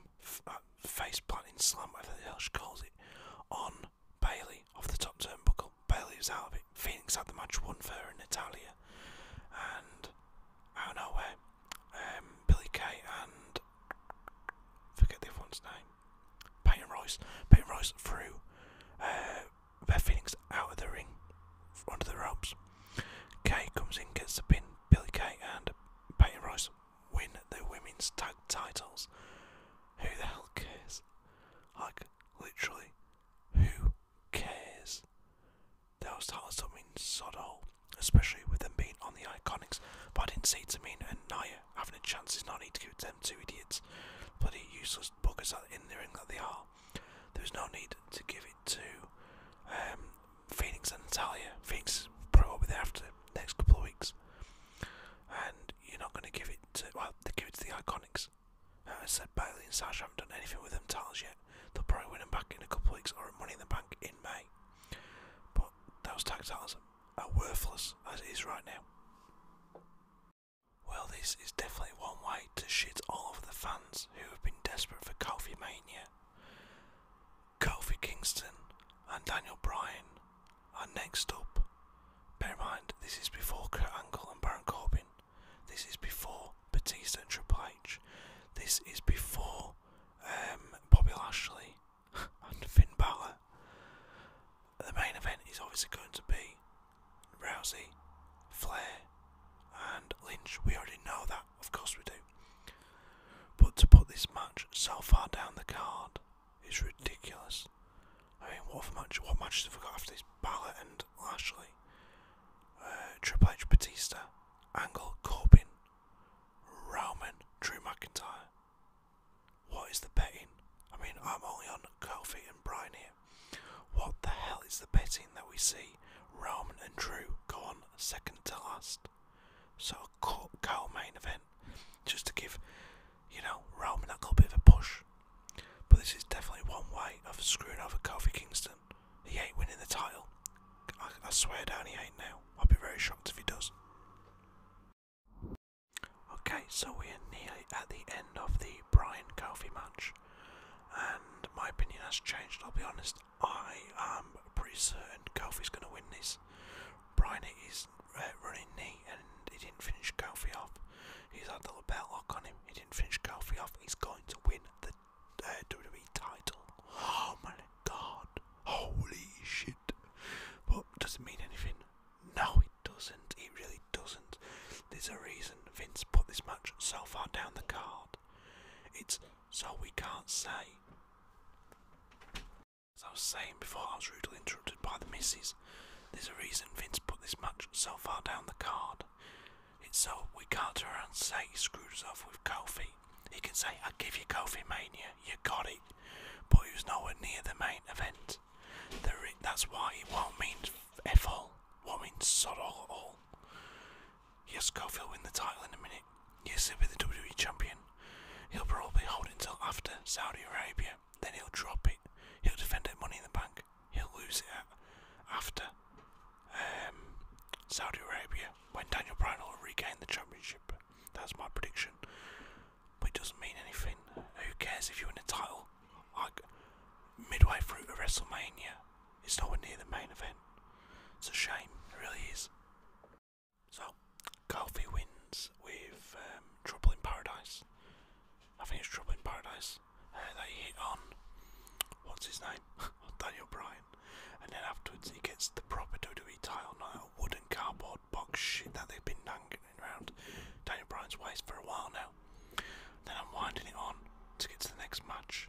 uh, face planting slam, whatever the hell she calls it, on Bailey off the top turnbuckle. Bailey was out of it. Phoenix had the match won for her in Natalia. And out of nowhere. Um, Billy Kay and forget the other one's name. Peyton Royce. Peyton Royce threw uh, Beth Phoenix out of the ring, under the ropes. Kay comes in, gets the pin. Billy Kay and Peyton Royce win the women's tag titles. Who the hell cares? Like, literally, who cares? those titles don't mean sod all, especially with them being on the Iconics. But I didn't see Tamina and Naya having a chance is not need to give them two idiots, bloody useless buggers in the ring that they are. There's no need to give it to um, Phoenix and Natalia. Phoenix probably be there after the next couple of weeks, and you're not going to give it to well, they give the Iconics. Uh, I said Bailey and Sasha haven't done anything with them titles yet. They'll probably win them back in a couple weeks or at Money in the Bank in May. But those tactiles are worthless as it is right now. Well, this is definitely one way to shit all over the fans who have been desperate for Kofi Mania. Kofi Kingston and Daniel Bryan are next up. Bear in mind, this is before Kurt Angle and Baron Corbin. This is before before Batista and Triple H. This is before um, Bobby Lashley and Finn Balor. The main event is obviously going to be Rousey, Flair, and Lynch. We already know that, of course we do. But to put this match so far down the card is ridiculous. I mean, what of match? What matches have we got after this? Balor and Lashley, uh, Triple H, Batista. Angle Corbin, Rowman, Drew McIntyre. What is the betting? I mean, I'm only on Kofi and Brian here. What the hell is the betting that we see Roman and Drew go on second to last? So a cow main event, just to give, you know, Roman a little bit of a push. But this is definitely one way of screwing over Kofi Kingston. He ain't winning the title. I, I swear down he ain't now. I'd be very shocked if he does. Okay, so we are nearly at the end of the Brian Kofi match, and my opinion has changed. I'll be honest, I am pretty certain Kofi's going to win this. Brian hit uh, running knee and he didn't finish Kofi off. He's had a little belt lock on him, he didn't finish Kofi off. He's going to win the uh, WWE title. Oh my god, holy shit. But does not mean anything? No, it doesn't. It really doesn't. There's a reason Vince put this match so far down the card. It's so we can't say. As I was saying before, I was rudely interrupted by the missus. There's a reason Vince put this match so far down the card. It's so we can't turn around and say he screwed us off with Kofi. He can say, I give you Kofi Mania, you got it. But he was nowhere near the main event. that's why he won't mean F all. Won't mean sod all at all. Yes, Kofi will win the title in a minute. Yes, he'll be the WWE champion. He'll probably hold it until after Saudi Arabia. Then he'll drop it. He'll defend it Money in the Bank. He'll lose it after. Um, Saudi Arabia when Daniel Bryan will regain the championship. That's my prediction. But it doesn't mean anything. Who cares if you win a title? Like midway through to WrestleMania, it's nowhere near the main event. It's a shame, it really is. So, Kofi wins with um, Trouble in Paradise. I think it's Trouble in Paradise. Uh, that hit on, what's his name? Daniel Bryan. And then afterwards he gets the proper WWE title, not a wooden cardboard box shit that they've been hanging around Daniel Bryan's waist for a while now. Then I'm winding it on to get to the next match.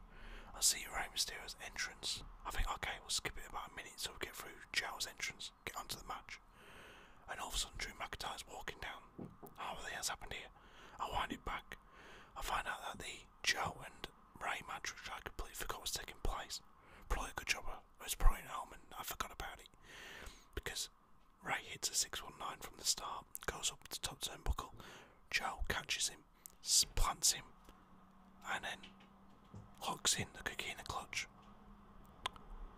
I see Rey Mysterio's entrance. I think, okay, we'll skip it about a minute so we get through Chow's entrance, get onto the match. And all of a sudden Drew McIntyre's walking down. Oh, what the hell's happened here? I wind it back. I find out that the Joe and Ray match, which I completely forgot was taking place. Probably a good job. I was probably at home and I forgot about it because Ray hits a 619 from the start, goes up to top top buckle. Joe catches him, plants him, and then locks in the coquina clutch.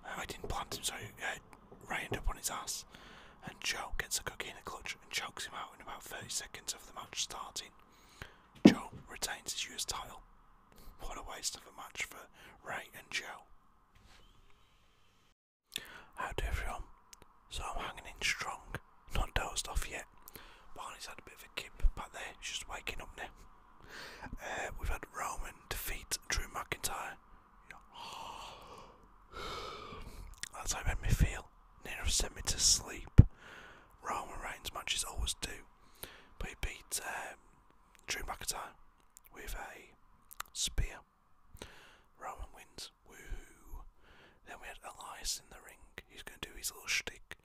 Uh, I didn't plant him, so uh, Ray ends up on his ass. And Joe gets a coquina clutch and chokes him out in about 30 seconds of the match starting. Joe retains his US title. What a waste of a match for Ray and Joe. How do everyone? So I'm hanging in strong, not dozed off yet. Barney's had a bit of a kip back there, he's just waking up now. Uh, we've had Roman defeat Drew McIntyre. That's how it made me feel. Nero sent me to sleep. Roman Reigns matches always do. But he beat um, Drew McIntyre with a spear. Roman wins. woo hoo! Then we had Elias in the ring. He's going to do his little shtick.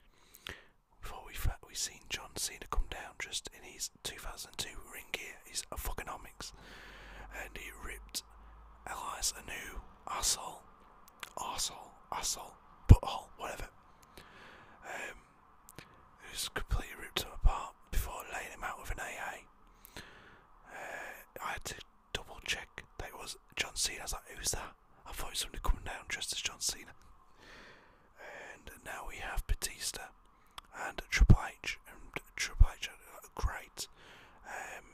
Before we we seen John Cena come down just in his 2002 ring gear, he's a fucking omics, and he ripped Elias a new asshole arsehole, asshole, butthole, whatever. Um, just completely ripped him apart before laying him out with an AA. Uh, I had to double check that it was John Cena. I was like, who's that? I thought it was somebody coming down dressed as John Cena. And now we have Batista and Triple H. And Triple H had great um,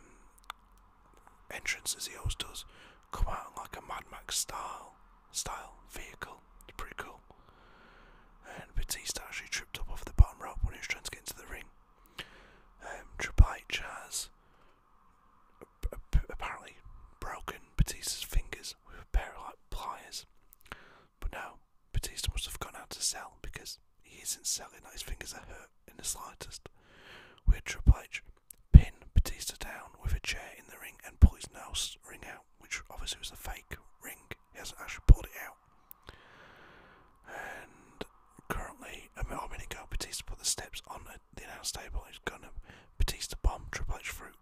entrance as he always does, come out like a Mad Max style style vehicle. It's pretty cool. And Batista actually tripped up off the bottom rope when he was trying to get into the ring. Um, Triple H has apparently broken Batista's fingers with a pair of like pliers. But no, Batista must have gone out to sell because he isn't selling that his fingers are hurt in the slightest. Weird Triple H pin Batista down with a chair in the ring and pull his nose ring out, which obviously was a fake ring. He hasn't actually pulled it out. And currently, a minute ago, Batista put the steps on the announce table. He's gonna Batista bomb Triple H through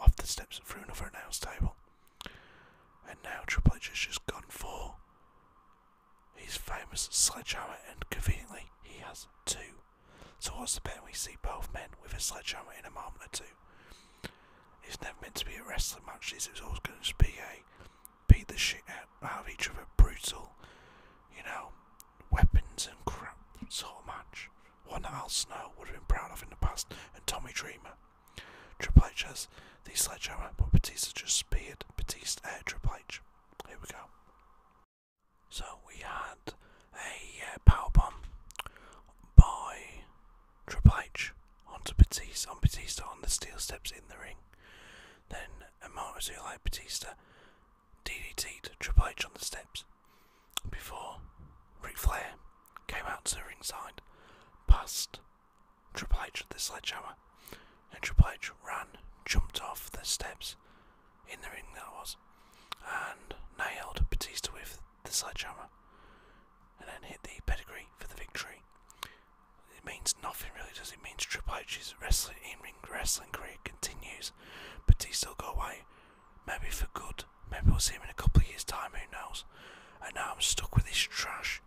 off the steps through another announce table. And now Triple H has just gone for his famous sledgehammer, and conveniently, he has two Towards the pen, we see both men with a sledgehammer in a moment or two. It's never meant to be a wrestling match, this was always going to be a beat the shit out of each other, brutal, you know, weapons and crap sort of match. One that Al Snow would have been proud of in the past, and Tommy Dreamer. Triple H the sledgehammer, but Batista just speared Batista at uh, Triple H. Here we go. So we had a uh, power bomb by Triple H onto Batista, on Batista on the steel steps in the ring. Then Amaru like Batista DDT'd Triple H on the steps before Ric Flair came out to the ringside, passed Triple H with the sledgehammer, and Triple H ran, jumped off the steps, in the ring that was, and nailed Batista with the sledgehammer, and then hit the pedigree for the victory. It means nothing really, does it? it means Triple H's wrestling in-ring wrestling career continues. Batista will go away, maybe for good. Maybe we'll see him in a couple of years' time. Who knows? And now I'm stuck with this trash,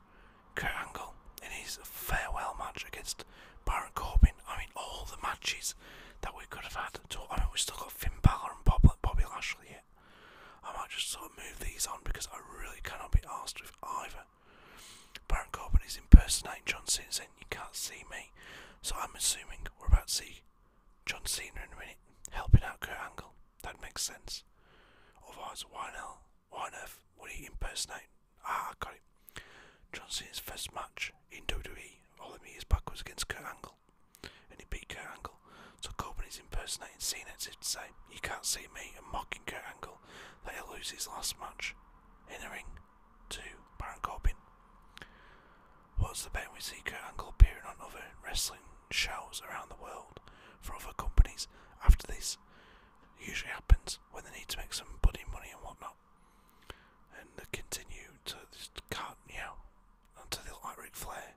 Kurt Angle, in his farewell match against Baron Corbin. I mean, all the matches that we could have had. I mean, we've still got Finn Balor and Bobby Lashley yet. I might just sort of move these on because I really cannot be asked with either. Baron Corbin is impersonating John Cena saying, You can't see me. So, I'm assuming we're about to see John Cena in a minute helping out Kurt Angle. That makes sense. Otherwise, why, not, why on earth would he impersonate? Ah, I got it. John Cena's first match in WWE. All I mean is back was against Kurt Angle, and he beat Kurt Angle. So Corbin is impersonating Cena as if to say, "You can't see me," and mocking Kurt Angle that he'll lose his last match in the ring to Baron Corbin. What's the bet we see Kurt Angle appearing on other wrestling shows around the world for other companies after this? usually happens when they need to make some bloody money and whatnot and they continue to just can't, you know, until they light like flare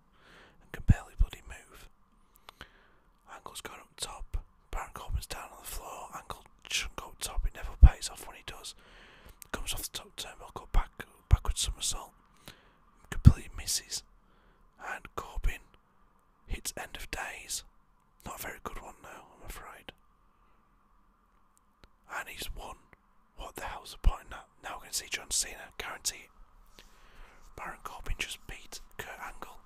and can barely bloody move. Angle's going up top, Baron Corbin's down on the floor, Angle shouldn't up top, it never pays off when he does. Comes off the top turnbuckle, back, backward somersault, completely misses, and Corbin hits end of days. Not a very good one now, I'm afraid. And he's won. What the hell's the point in that? Now we're going to see John Cena, guarantee Baron Corbin just beat Kurt Angle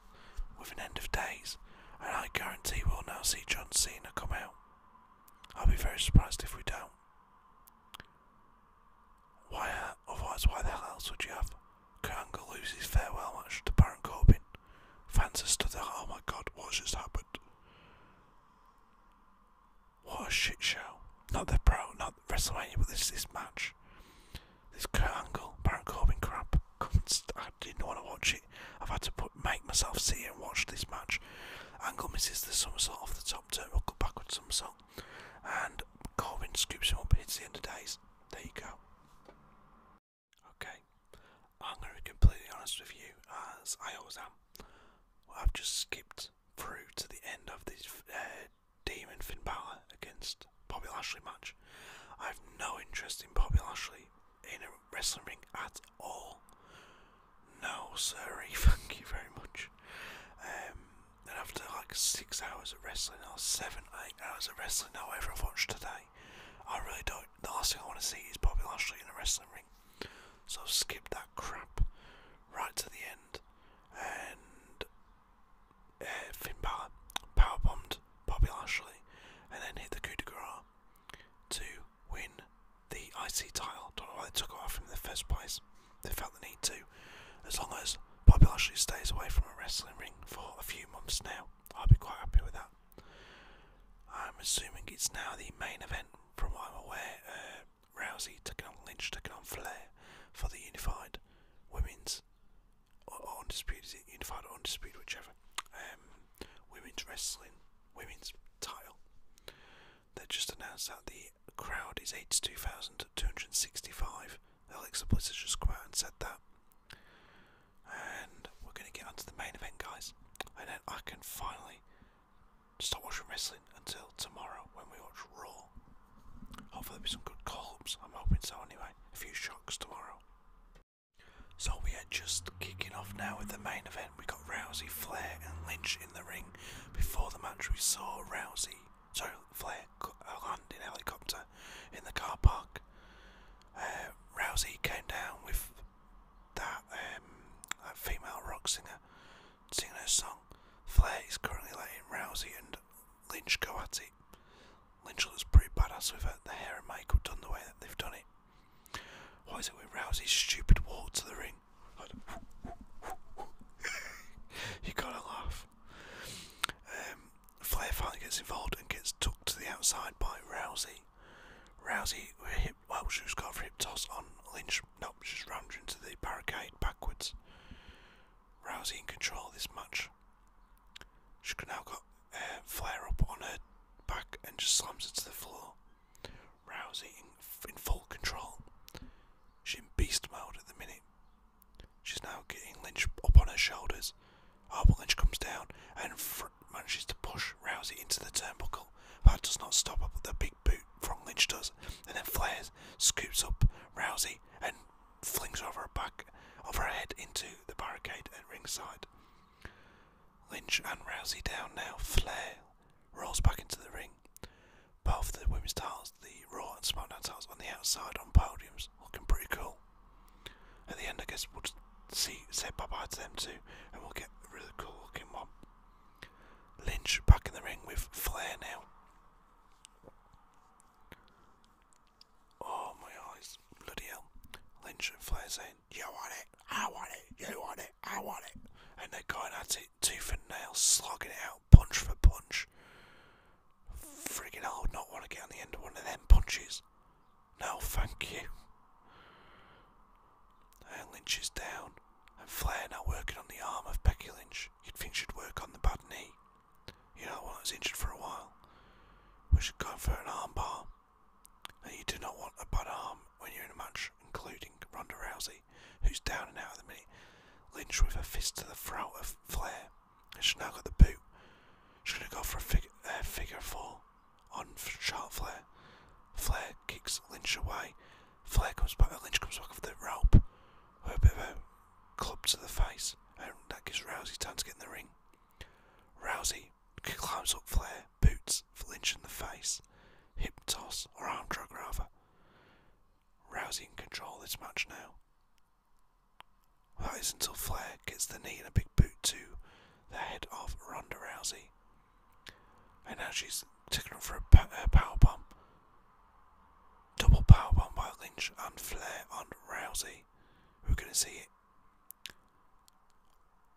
with an end of days, and I guarantee we'll now see John Cena come out. I'll be very surprised if we don't. Why, uh, otherwise, why the hell else would you have Kurt Angle loses his farewell match to Baron Corbin? Fans are stood there, oh my god, what's just happened? What a shit show. Not the pro, not WrestleMania, but this this match. This Kurt Angle, Baron Corbin crap. I didn't want to watch it. I've had to put, make myself see and watch this match. Angle misses the somersault off the top turn, will go backwards somersault, and Corbin scoops him up It's the end of days. There you go. Okay, I'm going to be completely honest with you, as I always am. I've just skipped through to the end of this uh, Demon Finn Balor against Bobby Lashley match. I have no interest in Bobby Lashley in a wrestling ring at all. No, sorry, thank you very much. Um, and after like six hours of wrestling, or seven, eight hours of wrestling, however I've watched today, I really don't. The last thing I want to see is Bobby Lashley in a wrestling ring ring. So skipped that crap right to the end, and uh, Finn Balor power bombed Bobby Lashley, and then hit the coup de grace to win the IC title. Don't know why they took off him the first place. They felt the need to. As long as Bobby Lashley stays away from a wrestling ring for a few months now, I'll be quite happy with that. I'm assuming it's now the main event, from what I'm aware. Uh, Rousey taking on Lynch, taking on Flair for the Unified Women's or, Undisputed, Unified or Undisputed, whichever, um, Women's Wrestling, Women's title. They just announced that the crowd is 82,265. Alexa Bliss has just come out and said that. And we're going to get onto the main event, guys. And then I can finally Stop watching wrestling until tomorrow when we watch Raw. Hopefully, there'll be some good call I'm hoping so anyway. A few shocks tomorrow. So, we are just kicking off now with the main event. We got Rousey, Flair, and Lynch in the ring. Before the match, we saw Rousey, So Flair land in helicopter in the car park. Uh, Rousey came down with that, um, that female rock singer singing her song. Flair is currently laying Rousey and Lynch go at it. Lynch looks pretty badass with her, the hair and makeup done the way that they've done it. Why is it with Rousey's stupid walk to the ring? you gotta laugh. Um, Flair finally gets involved and gets tuck to the outside by Rousey. Rousey well, she has got for hip toss on Lynch. No, she's rammed into the barricade backwards. Rousey in control this match. She can now got uh, Flair up on her back and just slams her to the floor. Rousey in, full control. She's in beast mode at the minute. She's now getting Lynch up on her shoulders. Oh, Lynch comes down and manages to push Rousey into the turnbuckle. but does not stop her, the big boot from Lynch does, and then flares, scoops up Rousey, and flings over her back, over her head into the barricade at ringside. Lynch and Rousey down now. Flair rolls back into the ring. Both the women's titles, the Raw and SmackDown titles, on the outside on podiums, looking pretty cool. At the end, I guess we'll just see say bye to them too, and we'll get really cool looking one. Lynch back in the ring with Flair now. Oh my eyes, bloody hell. Lynch and Flair saying, You want it, I want it, you want it, I want it. And they're going at it, tooth and nail, slogging it out, punch for punch. Freaking hell, I would not want to get on the end of one of them punches. No, thank you. Lynch is down, and Flair now working on the arm of Becky Lynch. You'd think she'd work on the bad knee. You know, when I was injured for a while. We should go for an armbar. And you do not want a butt arm when you're in a match, including Ronda Rousey, who's down and out of the minute. Lynch with a fist to the throat of Flair. she's now got the boot. She's going to go for a figure four on Charlotte Flair. Flair kicks Lynch away Flair comes back, Lynch comes back with the rope, with a bit of a club to the face, and that gives Rousey time to get in the ring. Rousey climbs up Flair, boots Lynch in the face, hip toss, or arm drag rather. Rousey in control this match now. That is until Flair gets the knee and a big boot to the head of Ronda Rousey. And now she's taken for a power bomb. Double power bomb by Lynch and Flair on Rousey. We're going to see it.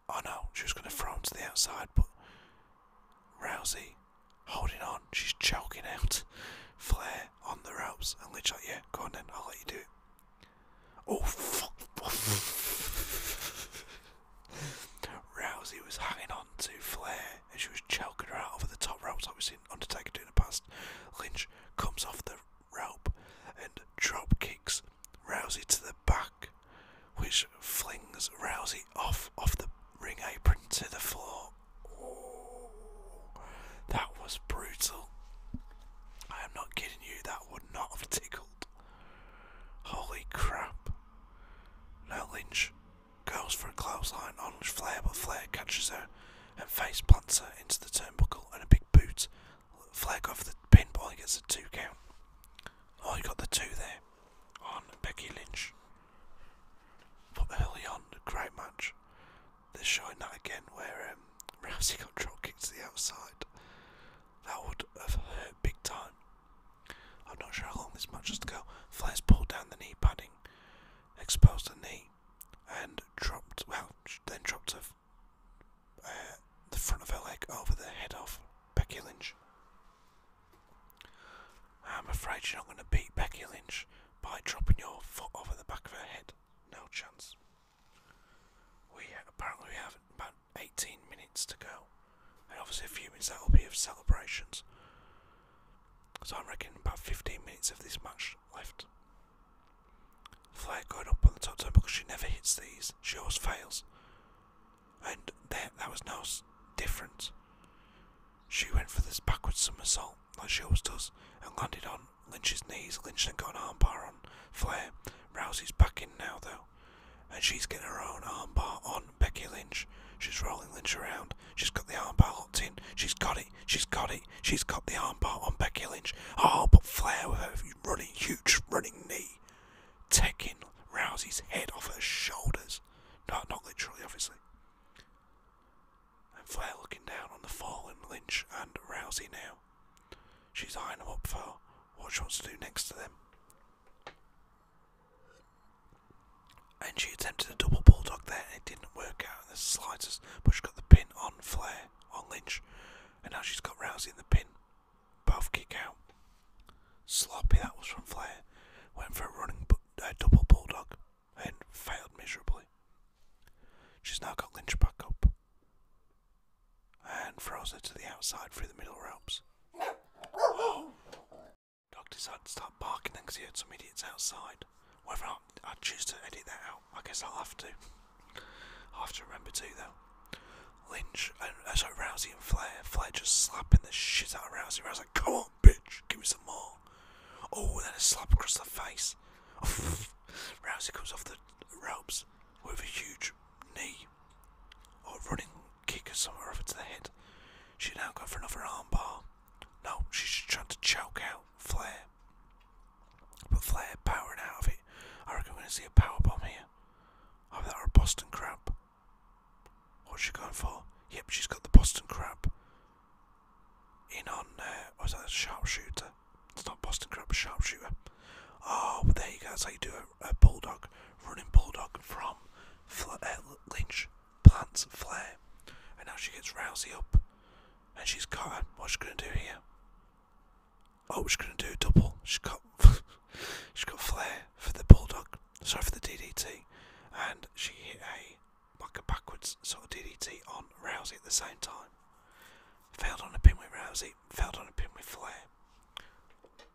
I know she was going to throw him to the outside, but Rousey holding on. She's choking out Flair on the ropes. And Lynch yeah, go on then, I'll let you do it. Oh, fuck. Rousey was hanging on to Flair and she was choking her out over the top ropes like we've seen Undertaker do in the past. Lynch comes off the rope and drop kicks Rousey to the back, which flings Rousey off off the ring apron to the floor. that was brutal. I am not kidding you, that would not have tickled. Holy crap. Now Lynch Goes for a clothesline, orange flare, but Flair catches her and face plants her into the turnbuckle and a big boot. Flair goes for the pinball and gets a two count. Oh, you got the two there on Becky Lynch. But early on, a great match. They're showing that again where um, Rousey got drop kicked to the outside. That would have hurt big time. I'm not sure how long this match has to go. Flair's pulled down the knee padding, exposed the knee, and dropped, well, then dropped her, uh, the front of her leg over the head of Becky Lynch. I'm afraid you're not going to beat Becky Lynch by dropping your foot over the back of her head. No chance. We apparently we have about 18 minutes to go, and obviously a few minutes that will be of celebrations. So I'm reckoning about 15 minutes of this match left. Flair going up on the top turn because she never hits these. She always fails. And there, that was no difference. She went for this backwards somersault like she always does and landed on Lynch's knees. Lynch then got an armbar on Flair. Rousey's back in now though. And she's getting her own armbar on Becky Lynch. She's rolling Lynch around. She's got the armbar locked in. She's got it. She's got it. She's got the armbar on Becky Lynch. Oh, but Flair with her running, huge running knee. Taking Rousey's head off her shoulders. No, not literally, obviously. And Flair looking down on the fallen Lynch and Rousey now. She's eyeing them up for what she wants to do next to them. And she attempted a double bulldog there and it didn't work out in the slightest, but she got the pin on Flair, on Lynch, and now she's got Rousey in the pin. Both kick out. Sloppy that was from Flair. Went for a running double bulldog and failed miserably. She's now got Lynch back up and throws her to the outside through the middle ropes. Doc decided to start barking then because he heard some idiots outside. Whether I, I choose to edit that out, I guess I'll have to. I'll have to remember too, though. Lynch, and uh, sorry, Rousey and Flair. Flair just slapping the shit out of Rousey. Rousey's like, come on, bitch, give me some more. Oh, and then a slap across the face. Rousey comes off the ropes with a huge knee or running kick or something or to the head. She now got for another armbar. No, she's just trying to choke out Flair. But Flair powering out of it. I reckon we're going to see a power bomb here. Either that a Boston Crab. What's she going for? Yep, she's got the Boston Crab. In on, uh, was that a sharpshooter? It's not Boston Crab, a sharpshooter. Oh, well, there you go. So you do a, bulldog, running bulldog from Flair uh, Lynch plants and Flair, And now she gets Rousey up and she's got. What's she gonna do here? Oh, she's gonna do a double. She's got she got Flair for the bulldog. Sorry for the DDT. And she hit a like a backwards sort of DDT on Rousey at the same time. Failed on a pin with Rousey, failed on a pin with Flair.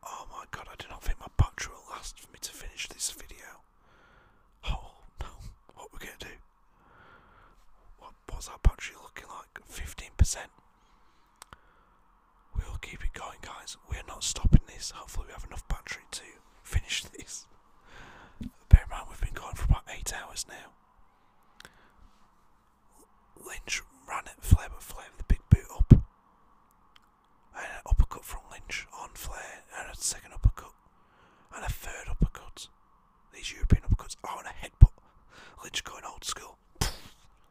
Oh my god, I do not think my battery will last for me to finish this video. Oh no, what we gonna do? What, what's our battery looking like? 15%. We'll keep it going, guys. We're not stopping this. Hopefully, we have enough battery to finish this. Bear in mind, we've been going for about 8 hours now. Lynch ran at Flair, the big boot up an uppercut from Lynch on Flair, and a second uppercut, and a third uppercut. These European uppercuts. Oh, and a headbutt. Lynch going old school.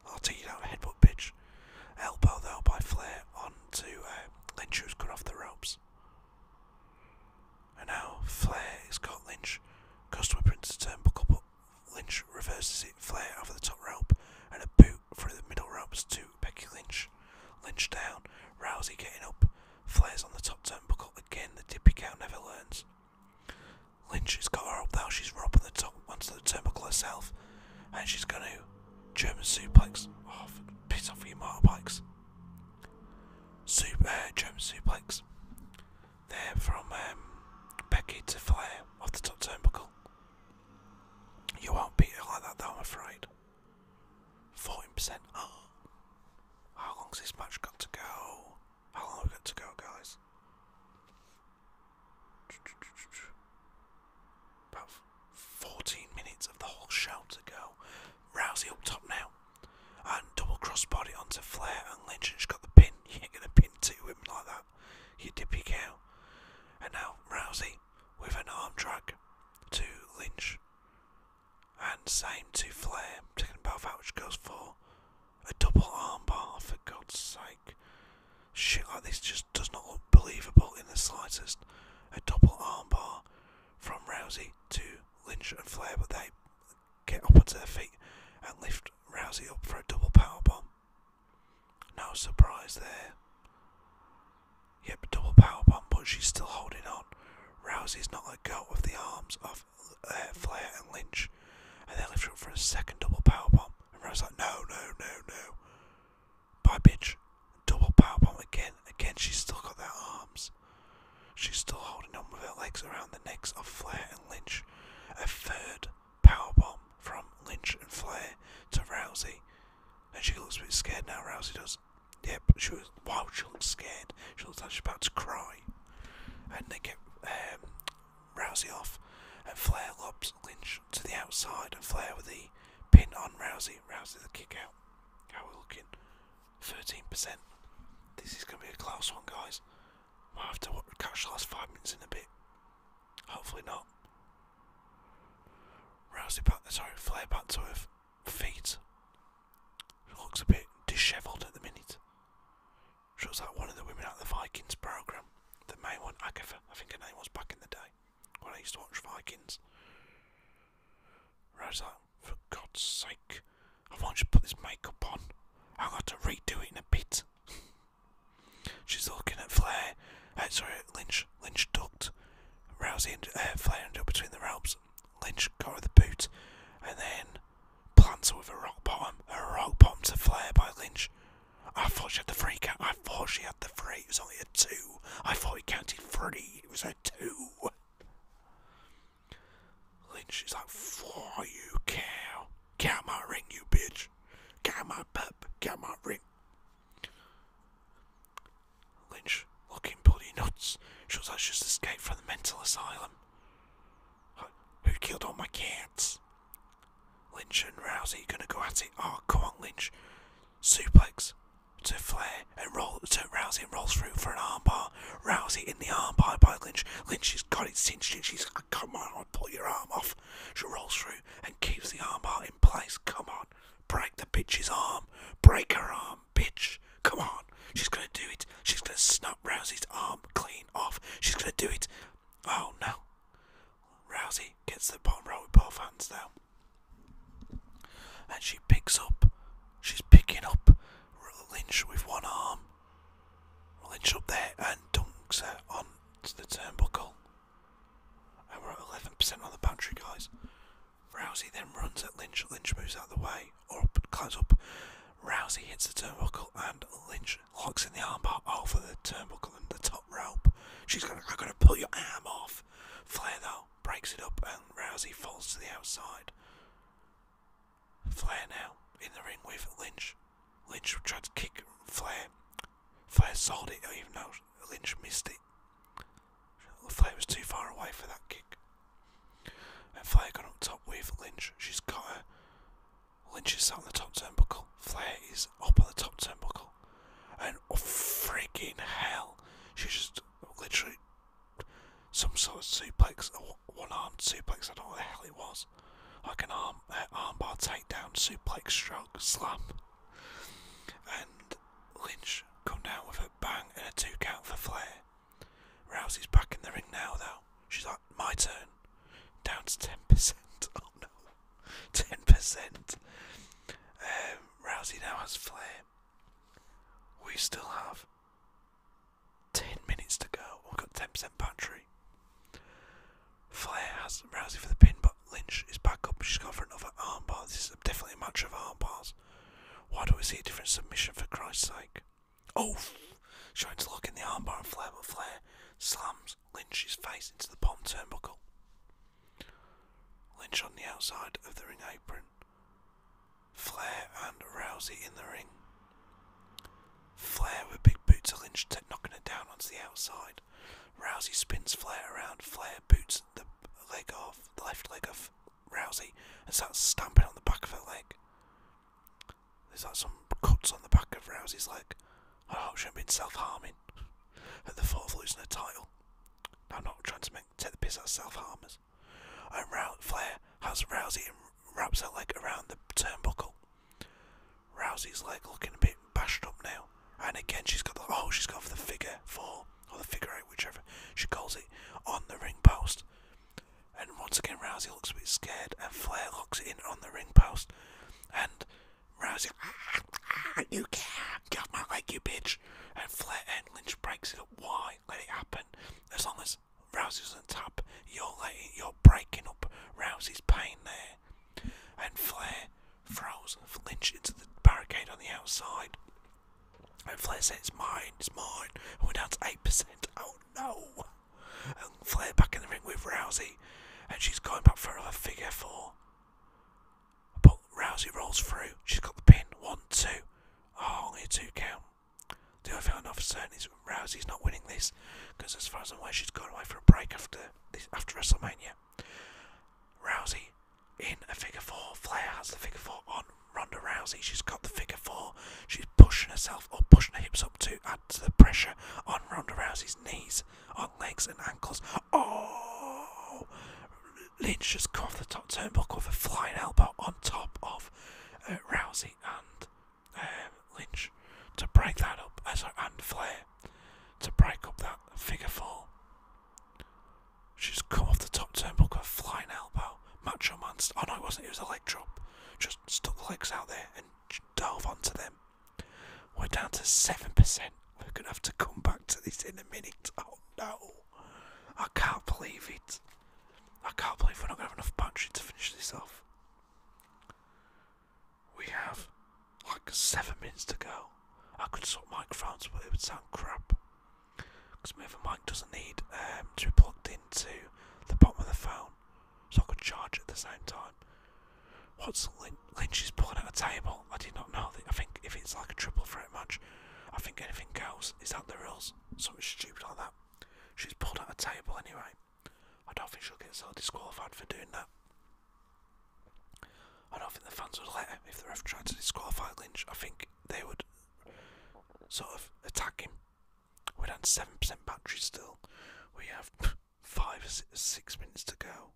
I'll take you down a headbutt, bitch. Elbow though by Flair onto uh, Lynch, who's cut off the ropes. And now Flair is got Lynch. Customer prints the turnbuckle, but Lynch reverses it. Flair over the top rope and a boot through the middle ropes to Becky Lynch. Lynch down. Rousey getting up. Flares on the top turnbuckle. Again, the dippy cow never learns. Lynch has got her up now. She's robbing the top onto the turnbuckle herself. And she's going to German suplex. Off, oh, piss off your motorbikes. Super, uh, German suplex. There from um, Becky to Flair off the top turnbuckle. You won't beat her like that though, I'm afraid. 14% up. How long's this match got to go? How long we got to go, guys? About 14 minutes of the whole show to go. Rousey up top now. And double cross body onto Flair and Lynch and she's got the pin. You are gonna pin two him like that. You dippy cow. And now Rousey with an arm drag to Lynch. And same to Flair, taking both out, which goes for a double armbar, for God's sake. Shit like this just does not look believable in the slightest. A double armbar from Rousey to Lynch and Flair, but they get up onto their feet and lift Rousey up for a double powerbomb. No surprise there. Yep, double power bomb, but she's still holding on. Rousey's not let go with the arms of uh, Flair and Lynch, and they lift her up for a second double power bomb. And Rousey's like, no, no, no, no. Bye, bitch. Double power bomb again. Again, she's still got their arms. She's still holding on with her legs around the necks of Flair and Lynch. A third power bomb from Lynch and Flair to Rousey, and she looks a bit scared now. Rousey does. Yep, she was. Wow, she looked scared. She looked like she was about to cry. And they get um, Rousey off, and Flair lobs Lynch to the outside, and Flair with the pin on Rousey. Rousey the kick out. How are we looking? 13%. This is going to be a close one, guys. Might have to catch the last five minutes in a bit. Hopefully not. Rousey back, sorry, Flair back to earth feet. looks a bit dishevelled at the minute. She looks like one of the women out of the Vikings programme. The main one, Agatha, I think her name was back in the day when I used to watch Vikings. Rosa, for God's sake, I want to put this makeup on. I've got to redo it in a bit. She's looking at Flair, uh, sorry, Lynch, Lynch ducked. Rousey and uh, Flair ended up between the ropes. Lynch got with the boot, and then plants with a rock bottom. A rock bottom to flare by Lynch. I thought she had the free count. I thought she had the free. It was only a two. I thought he counted three. It was a two. Lynch is like, for you cow. Get out my ring, you bitch. Get out my pup. Get out my ring. Lynch, looking bloody nuts. Shows I just escaped from the mental asylum. Who killed all my cats? Lynch and Rousey gonna go at it. Oh, come on, Lynch. Suplex to Flair and roll to Rousey and rolls through for an armbar. Rousey in the armbar by Lynch. Lynch has got it cinched Lynch, She's come on, I'll pull your arm off. She rolls through and keeps the armbar in place. Come on. Break the bitch's arm. Break her arm, bitch. Come on. She's gonna do it. She's gonna snap Rousey's arm clean off. She's gonna do it. Oh no. Rousey gets the bottom row with both hands now. And she picks up. She's picking up Lynch with one arm. Lynch up there and dunks her onto the turnbuckle. And we're at 11% on the battery, guys. Rousey then runs at Lynch. Lynch moves out of the way, or climbs up. Rousey hits the turnbuckle, and Lynch locks in the armbar over the turnbuckle and the top rope. She's gonna, I'm gonna pull your arm off. Flair though breaks it up, and Rousey falls to the outside. Flair now in the ring with Lynch. Lynch tried to kick Flair. Flair sold it, even though Lynch missed it. Flair was too far away for that kick. And Flair got up top with Lynch. She's got her. Lynch is sat on the top turnbuckle. Flair is up on the top turnbuckle. And oh, freaking hell. She just literally. Some sort of suplex, one armed suplex, I don't know what the hell it was. Like an arm armbar takedown, suplex, stroke, slam. And Lynch come down with a bang and a two count for Flair. Rousey's back in the ring now, though. She's like, my turn. Down to 10%. Oh no. 10%. Um, Rousey now has Flair. We still have 10 minutes to go. We've got 10% battery. Flair has Rousey for the pin, but Lynch is back up. She's got for another armbar. This is definitely a match of armbars. Why do we see a different submission for Christ's sake? Oh! Shines lock in the armbar and Flair, but Flair slams Lynch's face into the bottom turnbuckle. Lynch on the outside of the ring apron. Flair and Rousey in the ring. Flair with big boots to Lynch, knocking it down onto the outside. Rousey spins Flair around. Flair boots the leg off, the left leg off Rousey and starts stamping on the back of her leg. There's like some cuts on the back of Rousey's leg. I hope she hasn't been self harming at the thought of losing her title. I'm not trying to make, take the piss of self harmers. And Row- Flair has Rousey wraps her leg around the turnbuckle. Rousey's leg looking a bit bashed up now. And again, she's got the, oh, she's gone the figure four, or the figure eight, whichever she calls it, on the ring post. And once again, Rousey looks a bit scared, and Flair locks in on the ring post. And Rousey, ah, you can't get my leg, you bitch. And Flair and Lynch breaks it up. Why? Let it happen. As long as Rousey's on top, you're letting, you're breaking up Rousey's pain there. And Flair throws Lynch into the barricade on the outside. And Flair said, It's mine, it's mine. we're down to 8%. Oh no! And Flair back in the ring with Rousey. And she's going back for another figure four. But Rousey rolls through. She's got the pin. One, two. Oh, only a two count. The only thing I know for certain is Rousey's not winning this. Because as far as I'm aware, she's gone away for a break after, after WrestleMania. Rousey in a figure four. Flair has the figure four on Ronda Rousey. She's got the figure four. She's pushing herself or pushing her hips up to add to the pressure on Ronda Rousey's knees, on legs and ankles. Oh! Lynch just got off the top turnbuckle with a flying elbow on top of uh, Rousey and um, Lynch to break that up. as uh, sorry, and Flair to break up that figure four. She's come off the top turnbuckle, with a flying elbow. Match your Man. Oh no, it wasn't. It was a leg drop. Just stuck the legs out there and dove onto them. We're down to 7%. We're going to have to come back to this in a minute. Oh no. I can't believe it. I can't believe we're not going to have enough battery to finish this off. We have like seven minutes to go. I could swap microphones, but it would sound crap. Because my other mic doesn't need um, to be plugged into the bottom of the phone, so I can charge at the same time. What's Lynch is pulling at a table? I did not know I think if it's like a triple threat match, I think anything goes. Is that the rules? Something stupid like that. She's pulled at a table anyway. I don't think she'll get so disqualified for doing that. I don't think the fans would let her if they're trying to disqualify Lynch. I think they would sort of attack him. We're down seven percent battery still. We have five six minutes to go.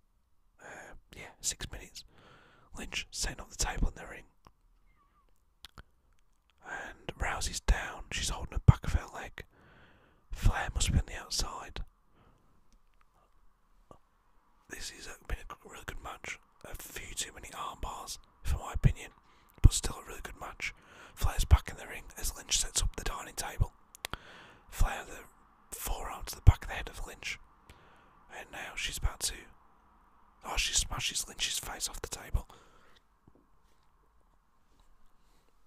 Uh, yeah, six minutes. Lynch sent off the table in the ring. And Rousey's down. She's holding the back of her leg. Flair must be on the outside. This has been a really good match. A few too many arm bars, for my opinion, but still a really good match. Flair's back in the ring as Lynch sets up the dining table. Flair the forearm to the back of the head of Lynch. And now she's about to. Oh, she smashes Lynch's face off the table.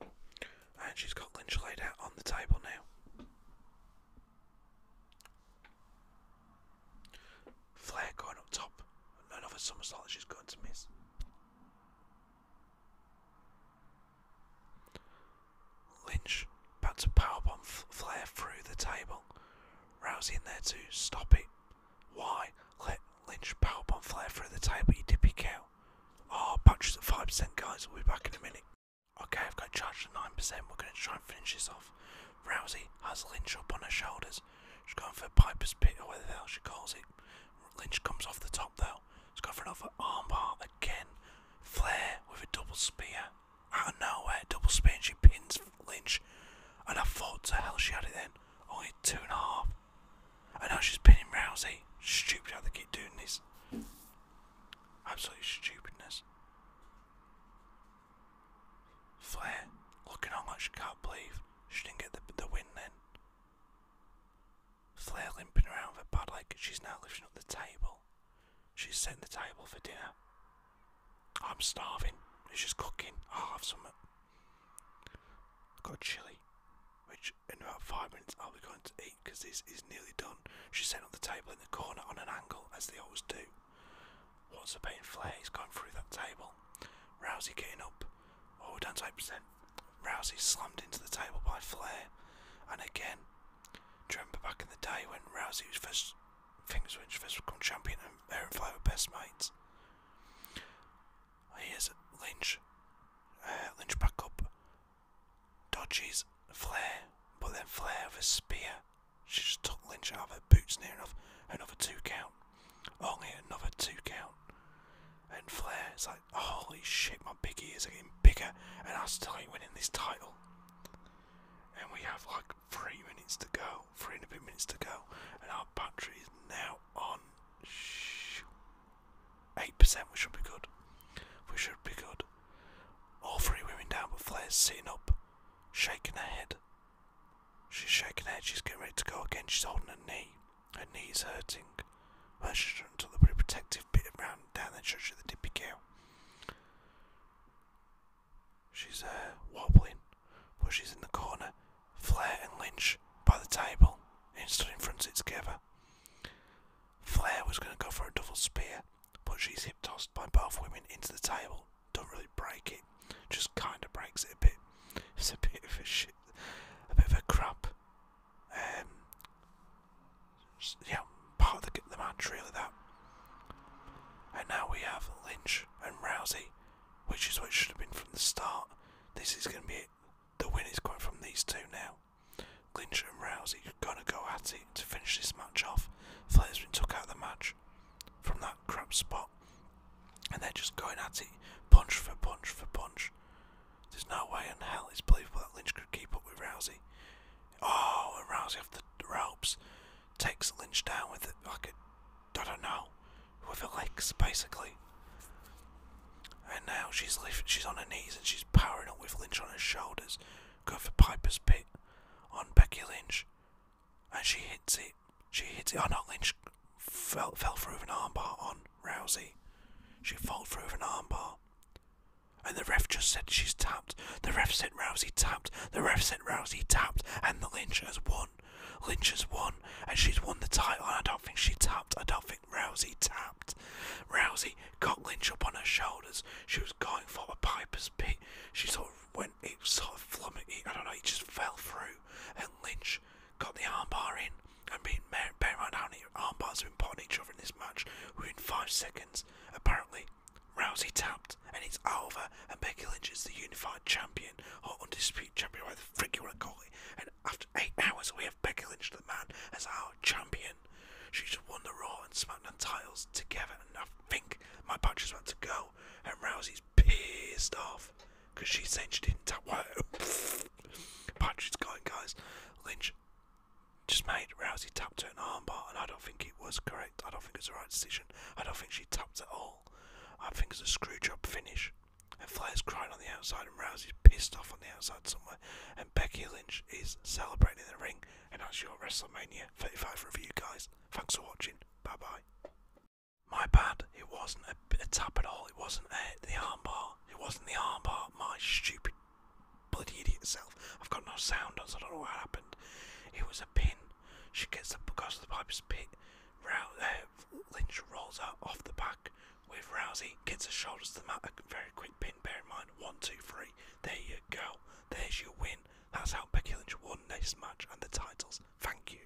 And she's got Lynch laid out on the table now. Flair going up top. Another somersault that she's going to miss. Lynch about to powerbomb Flair through the table. Rousey in there to stop it. Why let Lynch powerbomb Flair through the table, you dippy cow? Oh, batteries at 5%, guys. We'll be back in a minute. Okay, I've got charged at 9%. We're going to try and finish this off. Rousey has Lynch up on her shoulders. She's going for Piper's Pit or whatever the hell she calls it. Lynch comes off the top though. She's going for another armbar again. Flair with a double spear. Out of nowhere, double spear and she pins Lynch. And I thought to hell she had it then. Only two and a half. And now she's pinning Rousey. Stupid how they keep doing this. Absolute stupidness. Flair looking on like she can't believe. She didn't get the, the win then. Flair limping around with bad leg. She's now lifting up the table. She's setting the table for dinner. I'm starving. She's cooking. I'll have some. I've uh, got chili, which in about five minutes I'll be going to eat because this is nearly done. She's set up the table in the corner on an angle, as they always do. Lots of pain He's going through that table. Rousey getting up. Oh, down to 8%. Rousey slammed into the table by Flair. And again, do you remember back in the day when Rousey was first, things when she first become champion and her and were best mates? Here's Lynch. Uh, Lynch back up. Dodges Flair, but then Flair with a spear. She just took Lynch out of her boots near enough. Another two count. Only another two count. And Flair is like, holy shit, my big ears are getting bigger, and I still ain't winning this title. And we have like three minutes to go, three and a bit minutes to go, and our battery is now on Shh, eight percent. We should be good. We should be good. All three women down, but Flair's sitting up, shaking her head, She's shaking her head, she's getting ready to go again, she's holding her knee. Her knee's hurting. Mercer's trying to the protective bit around down the church of the Dippy Cow. She's uh, wobbling, but she's in the corner. Flair and Lynch by the table, and stood in front of it together. Flair was going to go for a double spear, but she's hip tossed by both women into the table. Don't really break it it just kind of breaks it a bit. It's a bit of a shit, a bit of a crap. Um, yeah, part of the, the match really that. And now we have Lynch and Rousey, which is what should have been from the start. This is going to be The win is going from these two now. Lynch and Rousey are going to go at it to finish this match off. Flair's been took out of the match from that crap spot and they're just going at it, punch for punch for punch. There's no way in hell it's believable that Lynch could keep up with Rousey. Oh, and Rousey off the ropes takes Lynch down with it like I I don't know, with her legs basically. And now she's she's on her knees and she's powering up with Lynch on her shoulders. Go for Piper's Pit on Becky Lynch, and she hits it. She hits it. Oh no, Lynch fell, through with an armbar on Rousey. She fell through with an armbar. And the ref just said she's tapped. The ref said Rousey tapped. The ref said Rousey tapped. And the Lynch has won. Lynch has won. And she's won the title. And I don't think she tapped. I don't think Rousey tapped. Rousey got Lynch up on her shoulders. She was going for a Piper's Pit. She sort of went, it sort of flummoxed. I don't know, it just fell through. And Lynch got the armbar in. I mean, bear in mind armbars have been put each other in this match within five seconds. Apparently, Rousey tapped, and it's over. And Becky Lynch is the unified champion or undisputed champion, whatever the frick you want to call it. And after eight hours, we have Becky Lynch, the man, as our champion. She's won the Raw and SmackDown titles together, and I think my patch is about to go. And Rousey's pissed off because she's saying she didn't tap. Patrick's going, guys. Lynch just made Rousey tapped her an armbar, and I don't think it was correct. I don't think it's the right decision. I don't think she tapped at all. I think it's a screwjob finish. And Flair's crying on the outside, and Rousey's pissed off on the outside somewhere. And Becky Lynch is celebrating in the ring. And that's your WrestleMania 35 review, guys. Thanks for watching. Bye bye. My bad, it wasn't a, tap at all, it wasn't a, uh, the armbar, it wasn't the armbar, my stupid bloody idiot self. I've got no sound I don't know what happened. It was a pin. She gets up because the pipe is Row, uh, Lynch rolls out off the back with Rousey, gets her shoulders to the mat. A very quick pin, bear in mind. One, two, three. There you go. There's your win. That's how Becky Lynch won this match and the titles. Thank you.